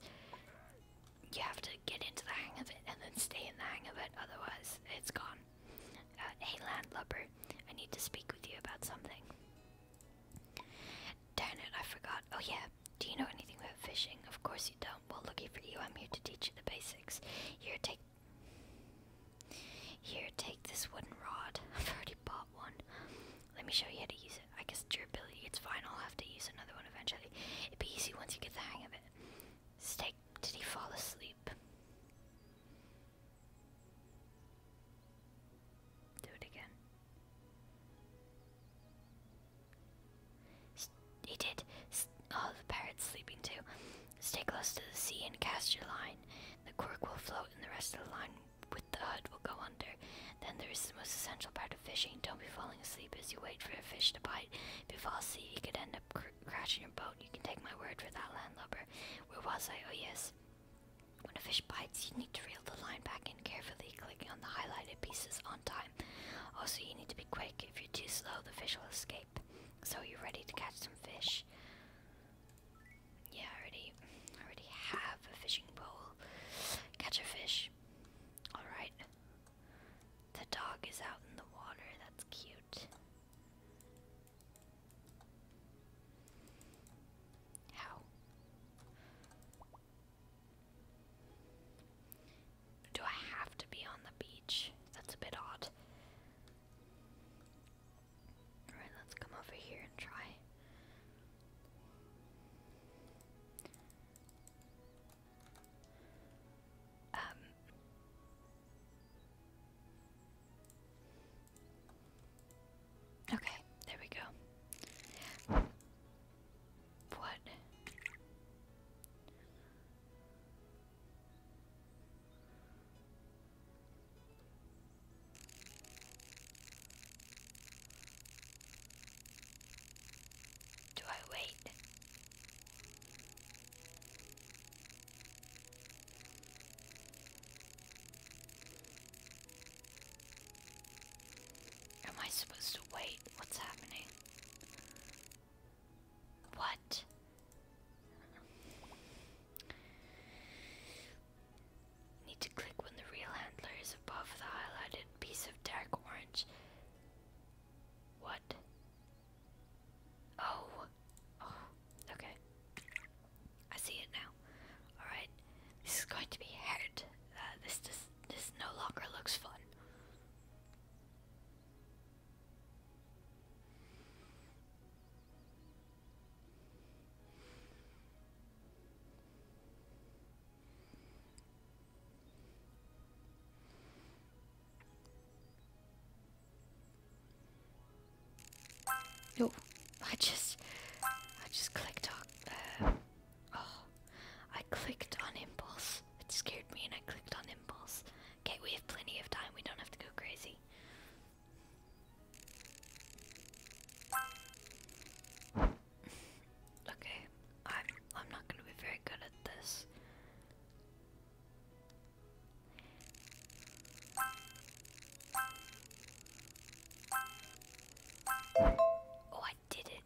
You have to get into the hang of it and then stay in the hang of it, otherwise, it's gone. Uh, hey, land hey, I need to speak with you about something. Darn it, I forgot. Oh, yeah. Do you know anything about fishing? Of course you don't. Well, lucky for you, I'm here to teach you the basics. Here, take. Here, take this wooden rod. I've already bought one. Let me show you how to use it. I guess durability, it's fine. I'll have to use another one eventually. It'd be easy once you get the hang of it. Stay did he fall asleep? Do it again. he did. oh, the parrot's sleeping too. Stay close to the sea and cast your line. The cork will float, and the rest of the line with the hood will go under. Then there is the most essential part of fishing. Don't be falling asleep as you wait for a fish to bite. If you fall asleep, you could end up Crashing your boat. You can take my word for that, landlubber. Where was I? Oh, yes. When a fish bites, you need to reel the line back in carefully, clicking on the highlighted pieces on time. Also, you need to be quick. If you're too slow, the fish will escape. So, you're ready to catch some fish. Yeah, I already, already have a fishing pole. Catch a fish. Alright. The dog is out in the water. That's cute. How? Do I have to be on the beach? That's a bit odd. Alright, let's come over here and try. Um, Okay, there we go. What? Do I wait? Am I supposed to wait? What's happening? What? Need to click when the real handler is above the highlighted piece of dark orange. What? Oh. oh. Okay. I see it now. All right. This is going to be hard. Uh, this just this no longer looks fun. No, I just, I just clicked on, uh, oh, I clicked on impulse. It scared me and I clicked on impulse. Okay, we have plenty of time. We don't have to go crazy. Okay, I'm, I'm not gonna be very good at this. Oh, I did it.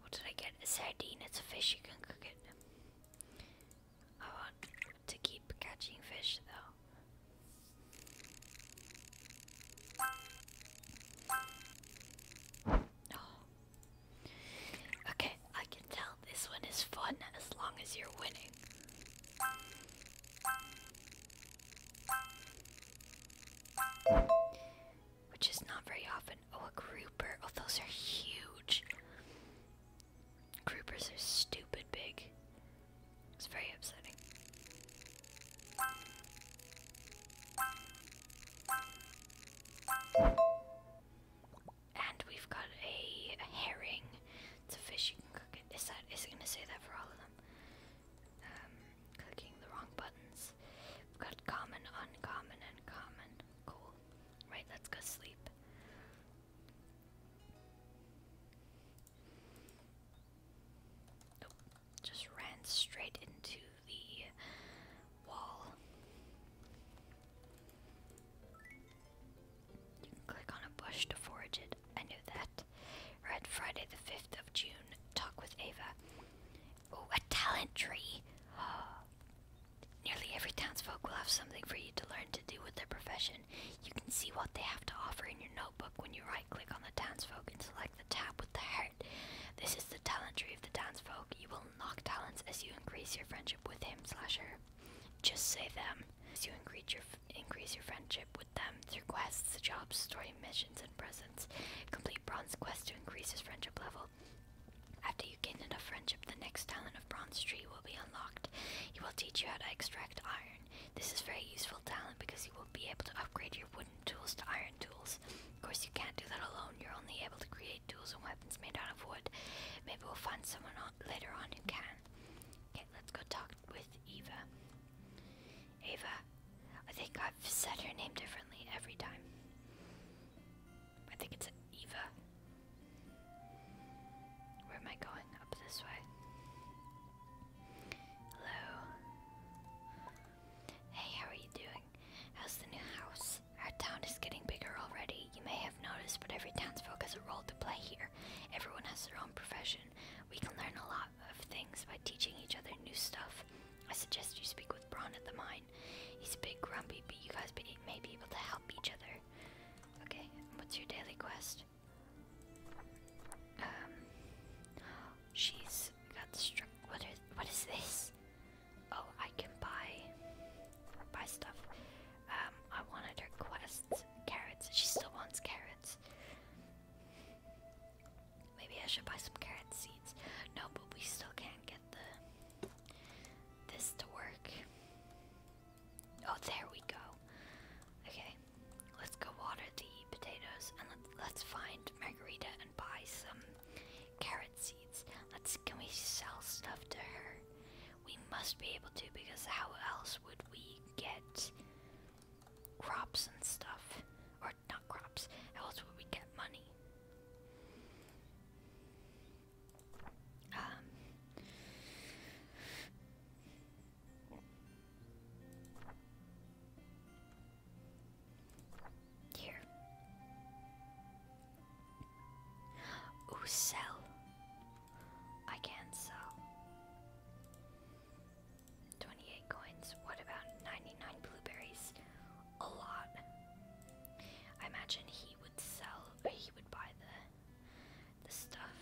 What did I get? A sardine. It's a fish. You can cook it. I want to keep catching fish, though. Oh. Okay, I can tell this one is fun as long as you're winning. Which is not very often. Oh, a grouper. Oh, those are huge. Groupers are stupid big. It's very upsetting and we've got a, herring. It's a fish. You can cook it. Is that? Is it gonna say that for all of them? Um, clicking the wrong buttons. We've got common, uncommon, and common. Cool. Right. Let's go sleep. Just ran straight into the wall click on a bush to forage it. I knew that. Red Friday the 5th of June. Talk with Ava. Oh, a talent tree! Nearly every townsfolk will have something for you to learn to do with their profession. You can see what they have to offer in your notebook when you right click on the townsfolk and select the tab with the heart. This is the talent tree of the townsfolk. You will unlock talents as you increase your friendship with him slash her. Just say them. As you increase your, increase your friendship with them through quests, jobs, story missions, and presents, complete bronze quest to increase his friendship level. After you gain enough friendship, the next talent of Bronze Tree will be unlocked. He will teach you how to extract iron. This is very useful talent because you will be able to upgrade your wooden tools to iron tools. Of course, you can't do that alone. You're only able to create tools and weapons made out of wood. Maybe we'll find someone later on who can. Okay, let's go talk with Eva. Ava, I think I've said her name differently every time. I think it's Eva. Where am I going? Up this way. Hello. Hey, how are you doing? How's the new house? Our town is getting bigger already you may have noticed, but every townsfolk has a role to play here. Everyone has their own profession. We can learn a lot of things by teaching each other new stuff. I suggest you speak with Bron at the mine. He's a bit grumpy, but you guys may be able to help each other. Okay, what's your daily quest? Um, she's got struck. What, what is this? Oh, I can buy buy stuff. Um, I wanted her quests. Carrots. She still wants carrots. Maybe I should buy some carrot seeds. No, but we still can't get the this to work. Oh, there we go. Okay, let's go water the potatoes and let's find Margarita and buy some carrot seeds. Let's can we sell stuff to her? We must be able to because how else would we get crops and stuff? Or not crops, how else would we get money? Um, here. sell. I can sell. 28 coins. What about 99 blueberries? A lot. I imagine he would sell, or he would buy the the stuff.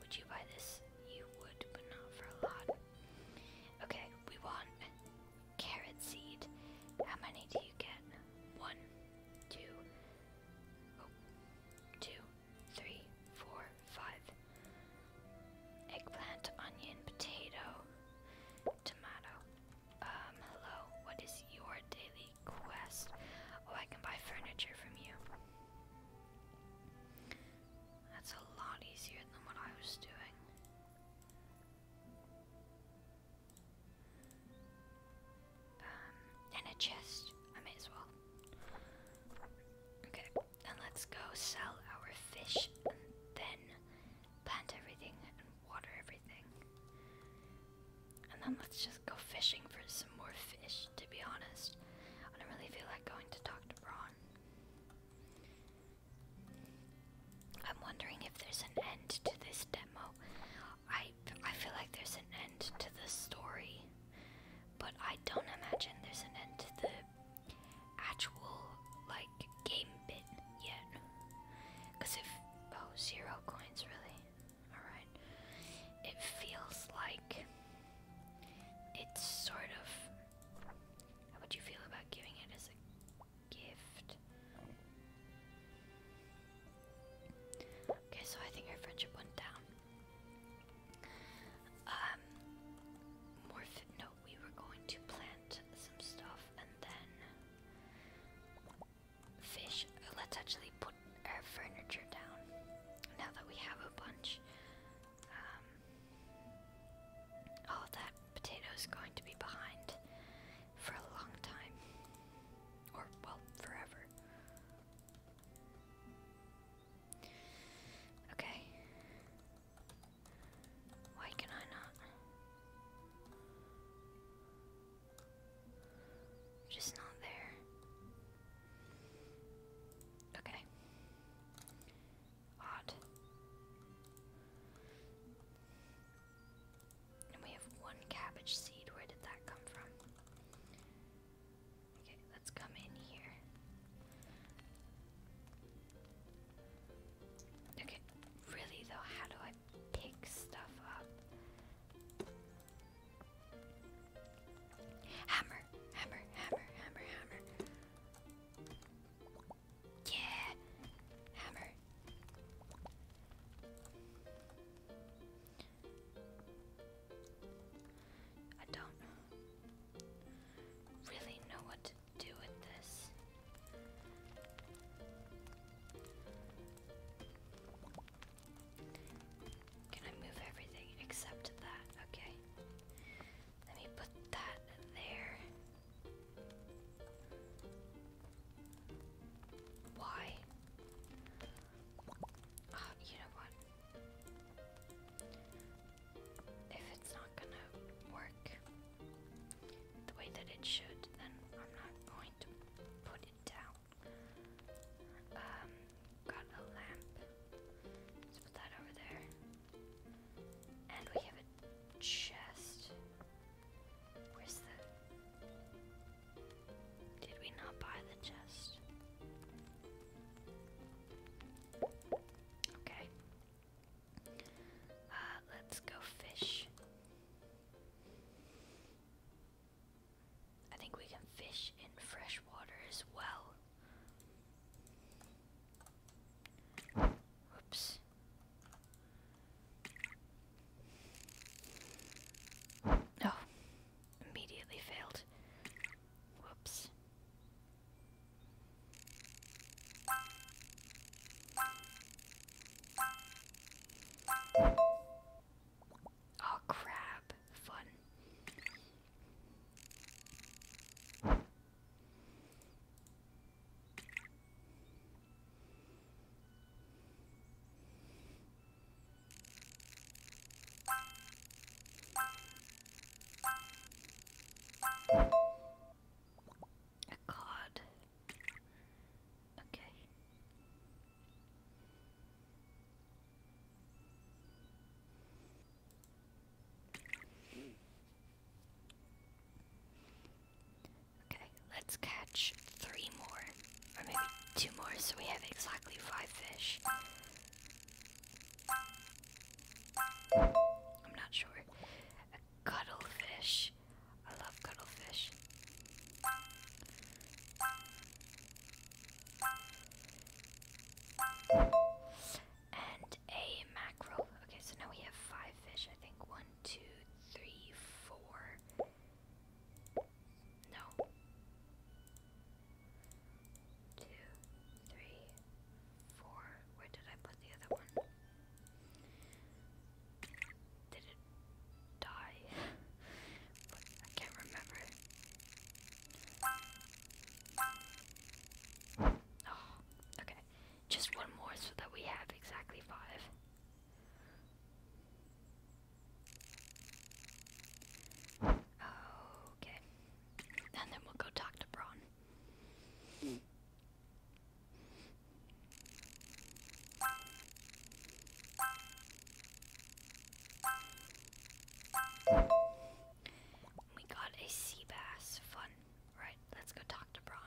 Would you buy this? You would, but not for a lot. Okay, we want carrot seed. How many do you get? One, two, Oh. Eggplant, onion, potato, tomato. Um, hello. What is your daily quest? Oh, I can buy furniture from you. That's a lot easier than what I was doing. Um, and a chest. I may as well. Okay, and let's go sell our fish and then plant everything and water everything. And then let's just go fishing for some more fish, to be honest. I don't really feel like going to talk to Braun. I'm wondering if there's an end to this demo. I I feel like there's an end to the story, but I don't imagine there's an end to the actual like game bit yet. Cause if oh zero coins really, all right. It feels like it's sort of. How would you feel about giving it as a gift? Okay, so I think our friendship went down. Um, more No, we were going to plant some stuff and then fish. Let's actually put our furniture down now that we have a bunch. oh, that potato is going to be behind for a long time, or well, forever. Okay. Why can I not? Just not there. Okay. Odd. And we have one cabbage seed. Where did that come from? Okay, let's come in here. Okay, really though, how do I pick stuff up? Hammer, hammer, hammer, hammer, hammer. Yeah, hammer. I don't really know what to do with this. Can I move everything except that? Okay. Let me put that there. Why? Ah, you know what? If it's not gonna work the way that it should, then I'm not going to put it down. Um, got a lamp. Let's put that over there. And we have a chest. Where's the did we not buy the chest? Okay. Uh, let's go fish. I think we can fish in fresh water as well. Whoops. Oh, immediately failed. Whoops. Oh, crab. Fun. A Okay. Okay, let's catch three more. Or maybe two more, so we have exactly five fish. I'm not sure. A cuttlefish. I love cuttlefish. And a mackerel. Okay, so now we have five fish. I think one, two, three, four. No. Two, three, four. Where did I put the other one? Did it die? I can't remember. Oh, okay. Just one more so that we have exactly five. Okay. And then we'll go talk to Braun. We got a sea bass. Fun. Right, let's go talk to Braun.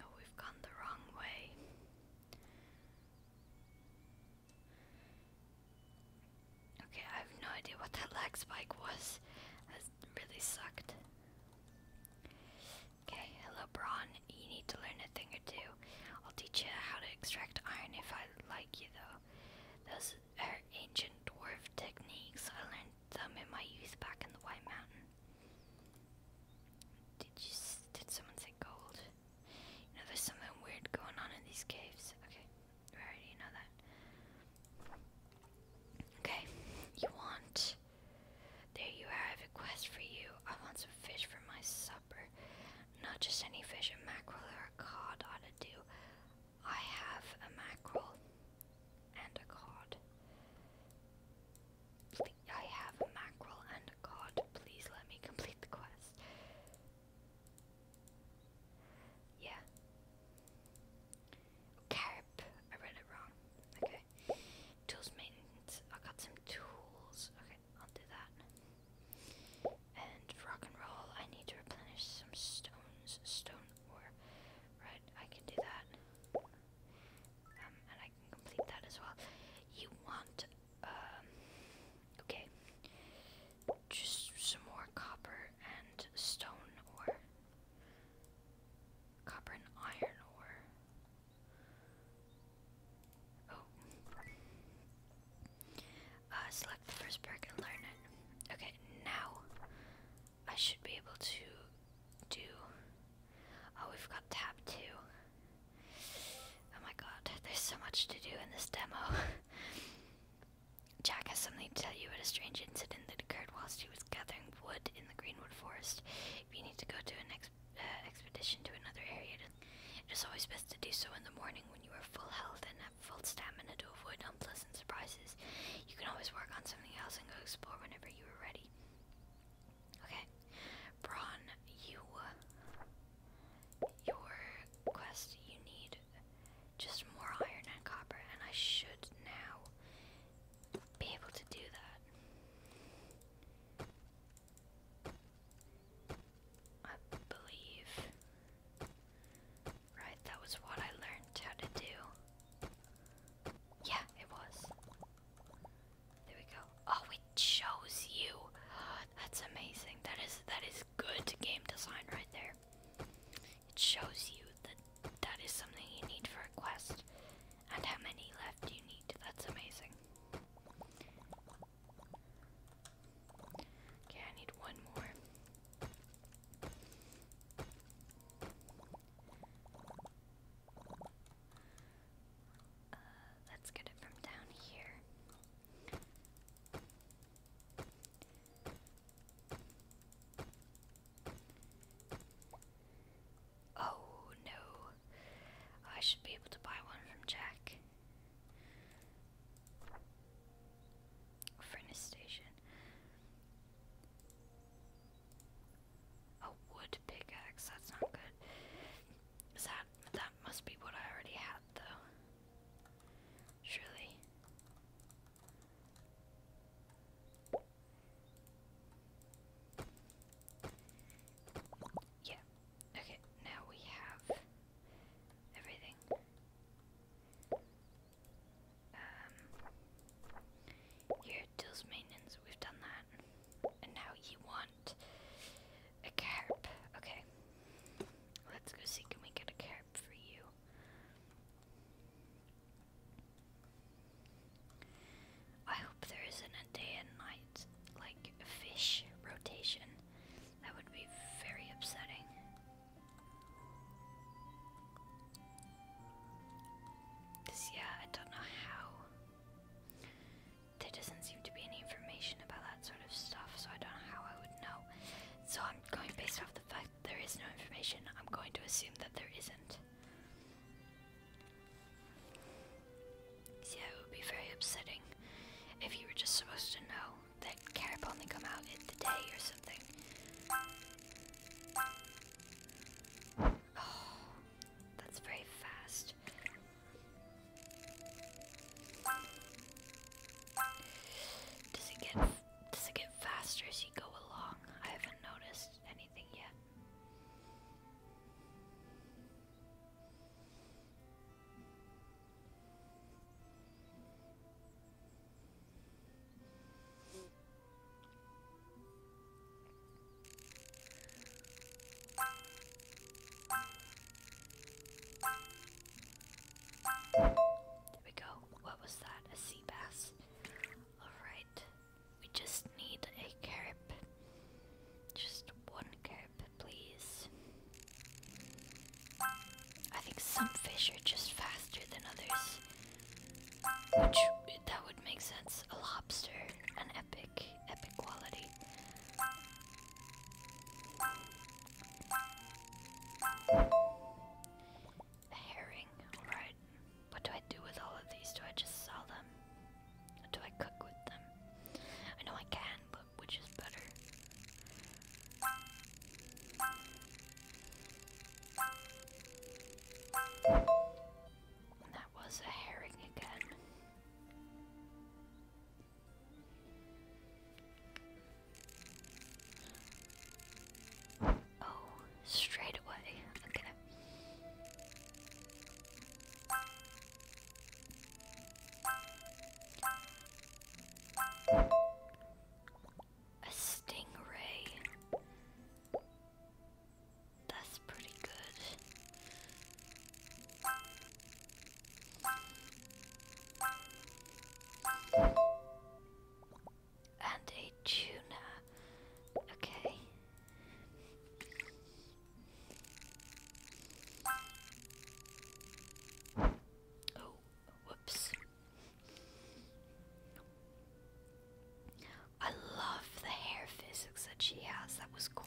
Oh, we've gone the wrong way. Okay, I have no idea what that lag spike was. That really sucked. Okay, hello Braun. You need to learn a thing or two. I'll teach you how to extract iron if I like you though. Those are ancient dwarf techniques. I learned them in my youth back in the White Mountain. Did you? Did someone say gold. You know, there's something weird going on in these caves. Okay, already know that. Okay, you want. There you are, I have a quest for you. I want some fish for my supper. Not just any fish, a mackerel or a cod ought do. I have a mackerel and a cod. I have a mackerel and a cod. Please let me complete the quest. Yeah. Carp. I read it wrong. Okay. Tools maintenance. I got some tools. Okay, I'll do that. And rock and roll. I need to replenish some stones. Stone ore. Right, I can do that. Um, and I can complete that as well. You want um, okay. Just some more copper and stone or Copper and iron ore. Oh. Uh, select the first perk and learn it. Okay, now I should be able to do. Oh, we've got tab two. Oh my god, there's so much to do in this demo. Jack has something to tell you about a strange incident that occurred whilst he was gathering wood in the Greenwood Forest. If you need to go to an uh, expedition to another area, it is always best to do so in the morning when you are full health and have full stamina to avoid unpleasant surprises. You can always work on something else and go explore whenever you are ready. Okay, Brawn, you, your quest, you need just more iron and copper, and I should now be able to do that. I believe. Right, that was what I learned how to do. Yeah, it was. There we go. Oh, it shows you. That's amazing. That is that is good game design right there. It shows you that that is something you need for a quest, and how many left you need. That's amazing. Okay, I need one more. Uh, let's get it from down here. Oh no. Oh, I should be able to buy one from Jack. Furnace station. A wood pickaxe, that's not good. Is that that must be what I already had though. Surely. Yeah. Okay, now we have everything. Um here deals maintenance, we've done that. And now you won a carp. Okay. Let's go see. Can we get a carp for you? I hope there isn't a day and night, like, fish rotation. That would be very upsetting. Because, yeah, I don't know how there doesn't seem to be any information about that sort of stuff, so I don't know how I would know. So I'm going based off the fact that there is no information, I'm going to assume that there isn't. Yeah, it would be very upsetting if you were just supposed to know that carp only come out in the day or something. that's very fast. Does it get does it get faster as you go along? I haven't noticed anything yet. There we go. What was that? A sea bass. Alright. We just need a carp. Just one carp, please. I think some fish are just faster than others. Which, that would make sense. A lobster, an epic, epic quality herring, alright. What do I do with all of these? Do I just sell them? Or do I cook with them? I know I can, but which is better? was a herring again. Oh, straight away. Okay. A stingray. That's pretty good. And a tuna. Okay. Oh, whoops. I love the hair physics that she has. That was cool.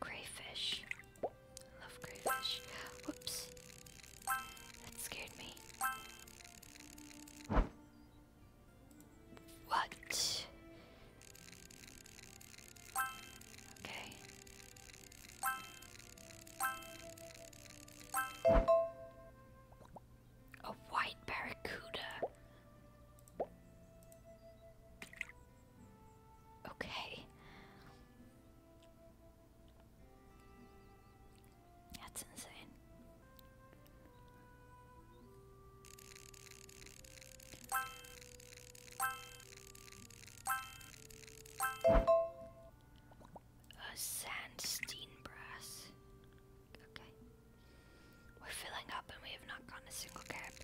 Crayfish. Love crayfish. Whoops. That scared me. What? Okay. A white barracuda. Okay. That's insane. A sandstein brass. Okay. We're filling up and we have not gone a single gap.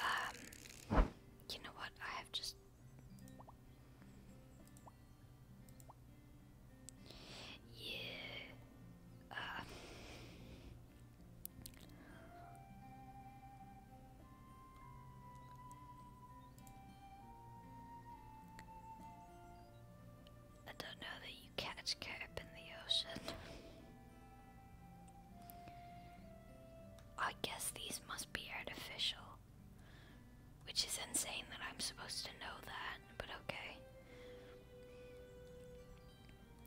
Um, you know what? I have just. Yeah. Uh, I don't know that catch carp in the ocean. I guess these must be artificial. Which is insane that I'm supposed to know that, but okay.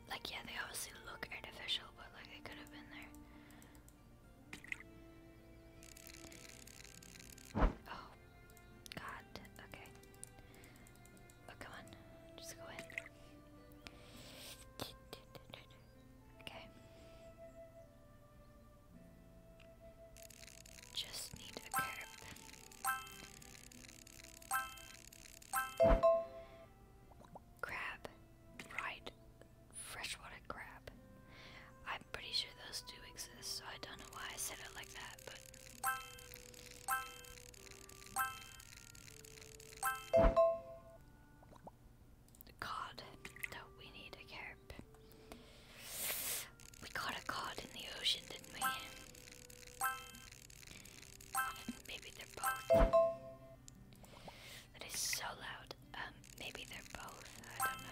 Like, yeah, they obviously look artificial, but like, they could have been there. Oh, god, okay. Oh, come on. Just go in. Okay. Just need a Crab. Right. Freshwater crab. I'm pretty sure those do exist, so I don't know why I said it like that, cod that we need a carp. We caught a cod in the ocean, didn't we? Maybe they're both. That is so loud. Um, maybe they're both. I don't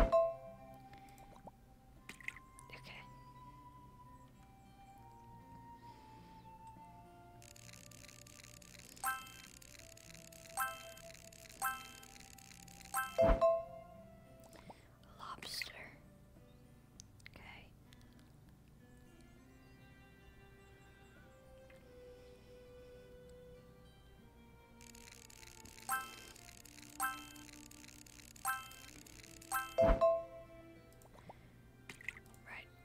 know. Okay. Lobster. Okay. Right,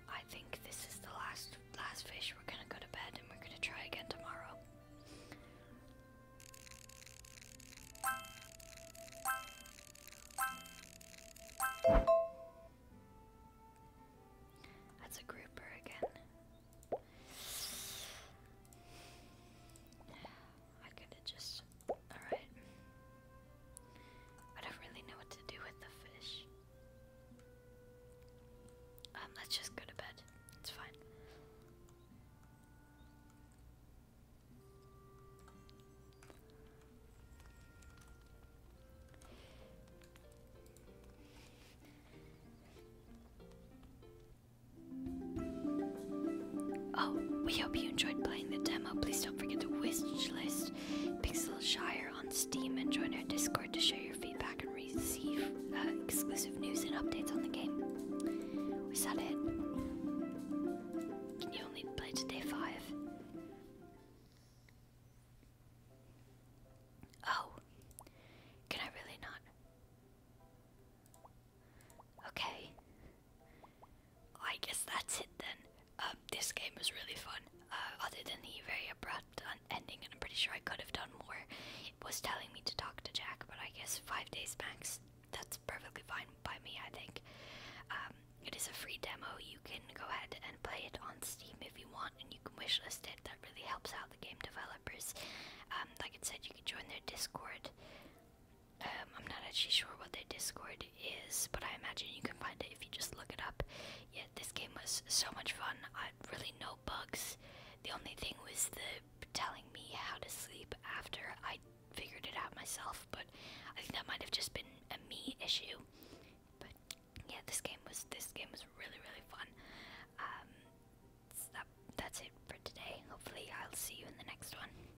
I think this is the last last fish. We're gonna go to bed and we're gonna try again tomorrow. That's a grouper again. I could have just. Alright. I don't really know what to do with the fish. Um, let's just go to bed. It's fine. Oh, we hope you enjoyed playing the demo. Please don't forget to wishlist Pixel Shire on Steam and join our Discord to share your feedback and receive uh, exclusive news and updates on the game. Was that it? Can you only play to day five? Oh, can I really not? Okay. I guess that's it then. Um, this game was really fun. Uh, other than the very abrupt ending, and I'm pretty sure I could have done more. was telling me to talk to Jack, but I guess five days max. That's perfectly fine by me, I think. Um, it is a free demo. You can go ahead and play it on Steam if you want, and you can wishlist it. That really helps out the game developers. Um, like I said, you can join their Discord. Um, I'm not actually sure what their Discord is, but I imagine you can find it if you just look it up. Yeah, this game was so much fun. I really no bugs. The only thing was the telling me how to sleep after I figured it out myself, but I think that might have just been a me issue. But yeah, this game was this game was really really fun. Um, that, that's it for today. Hopefully, I'll see you in the next one.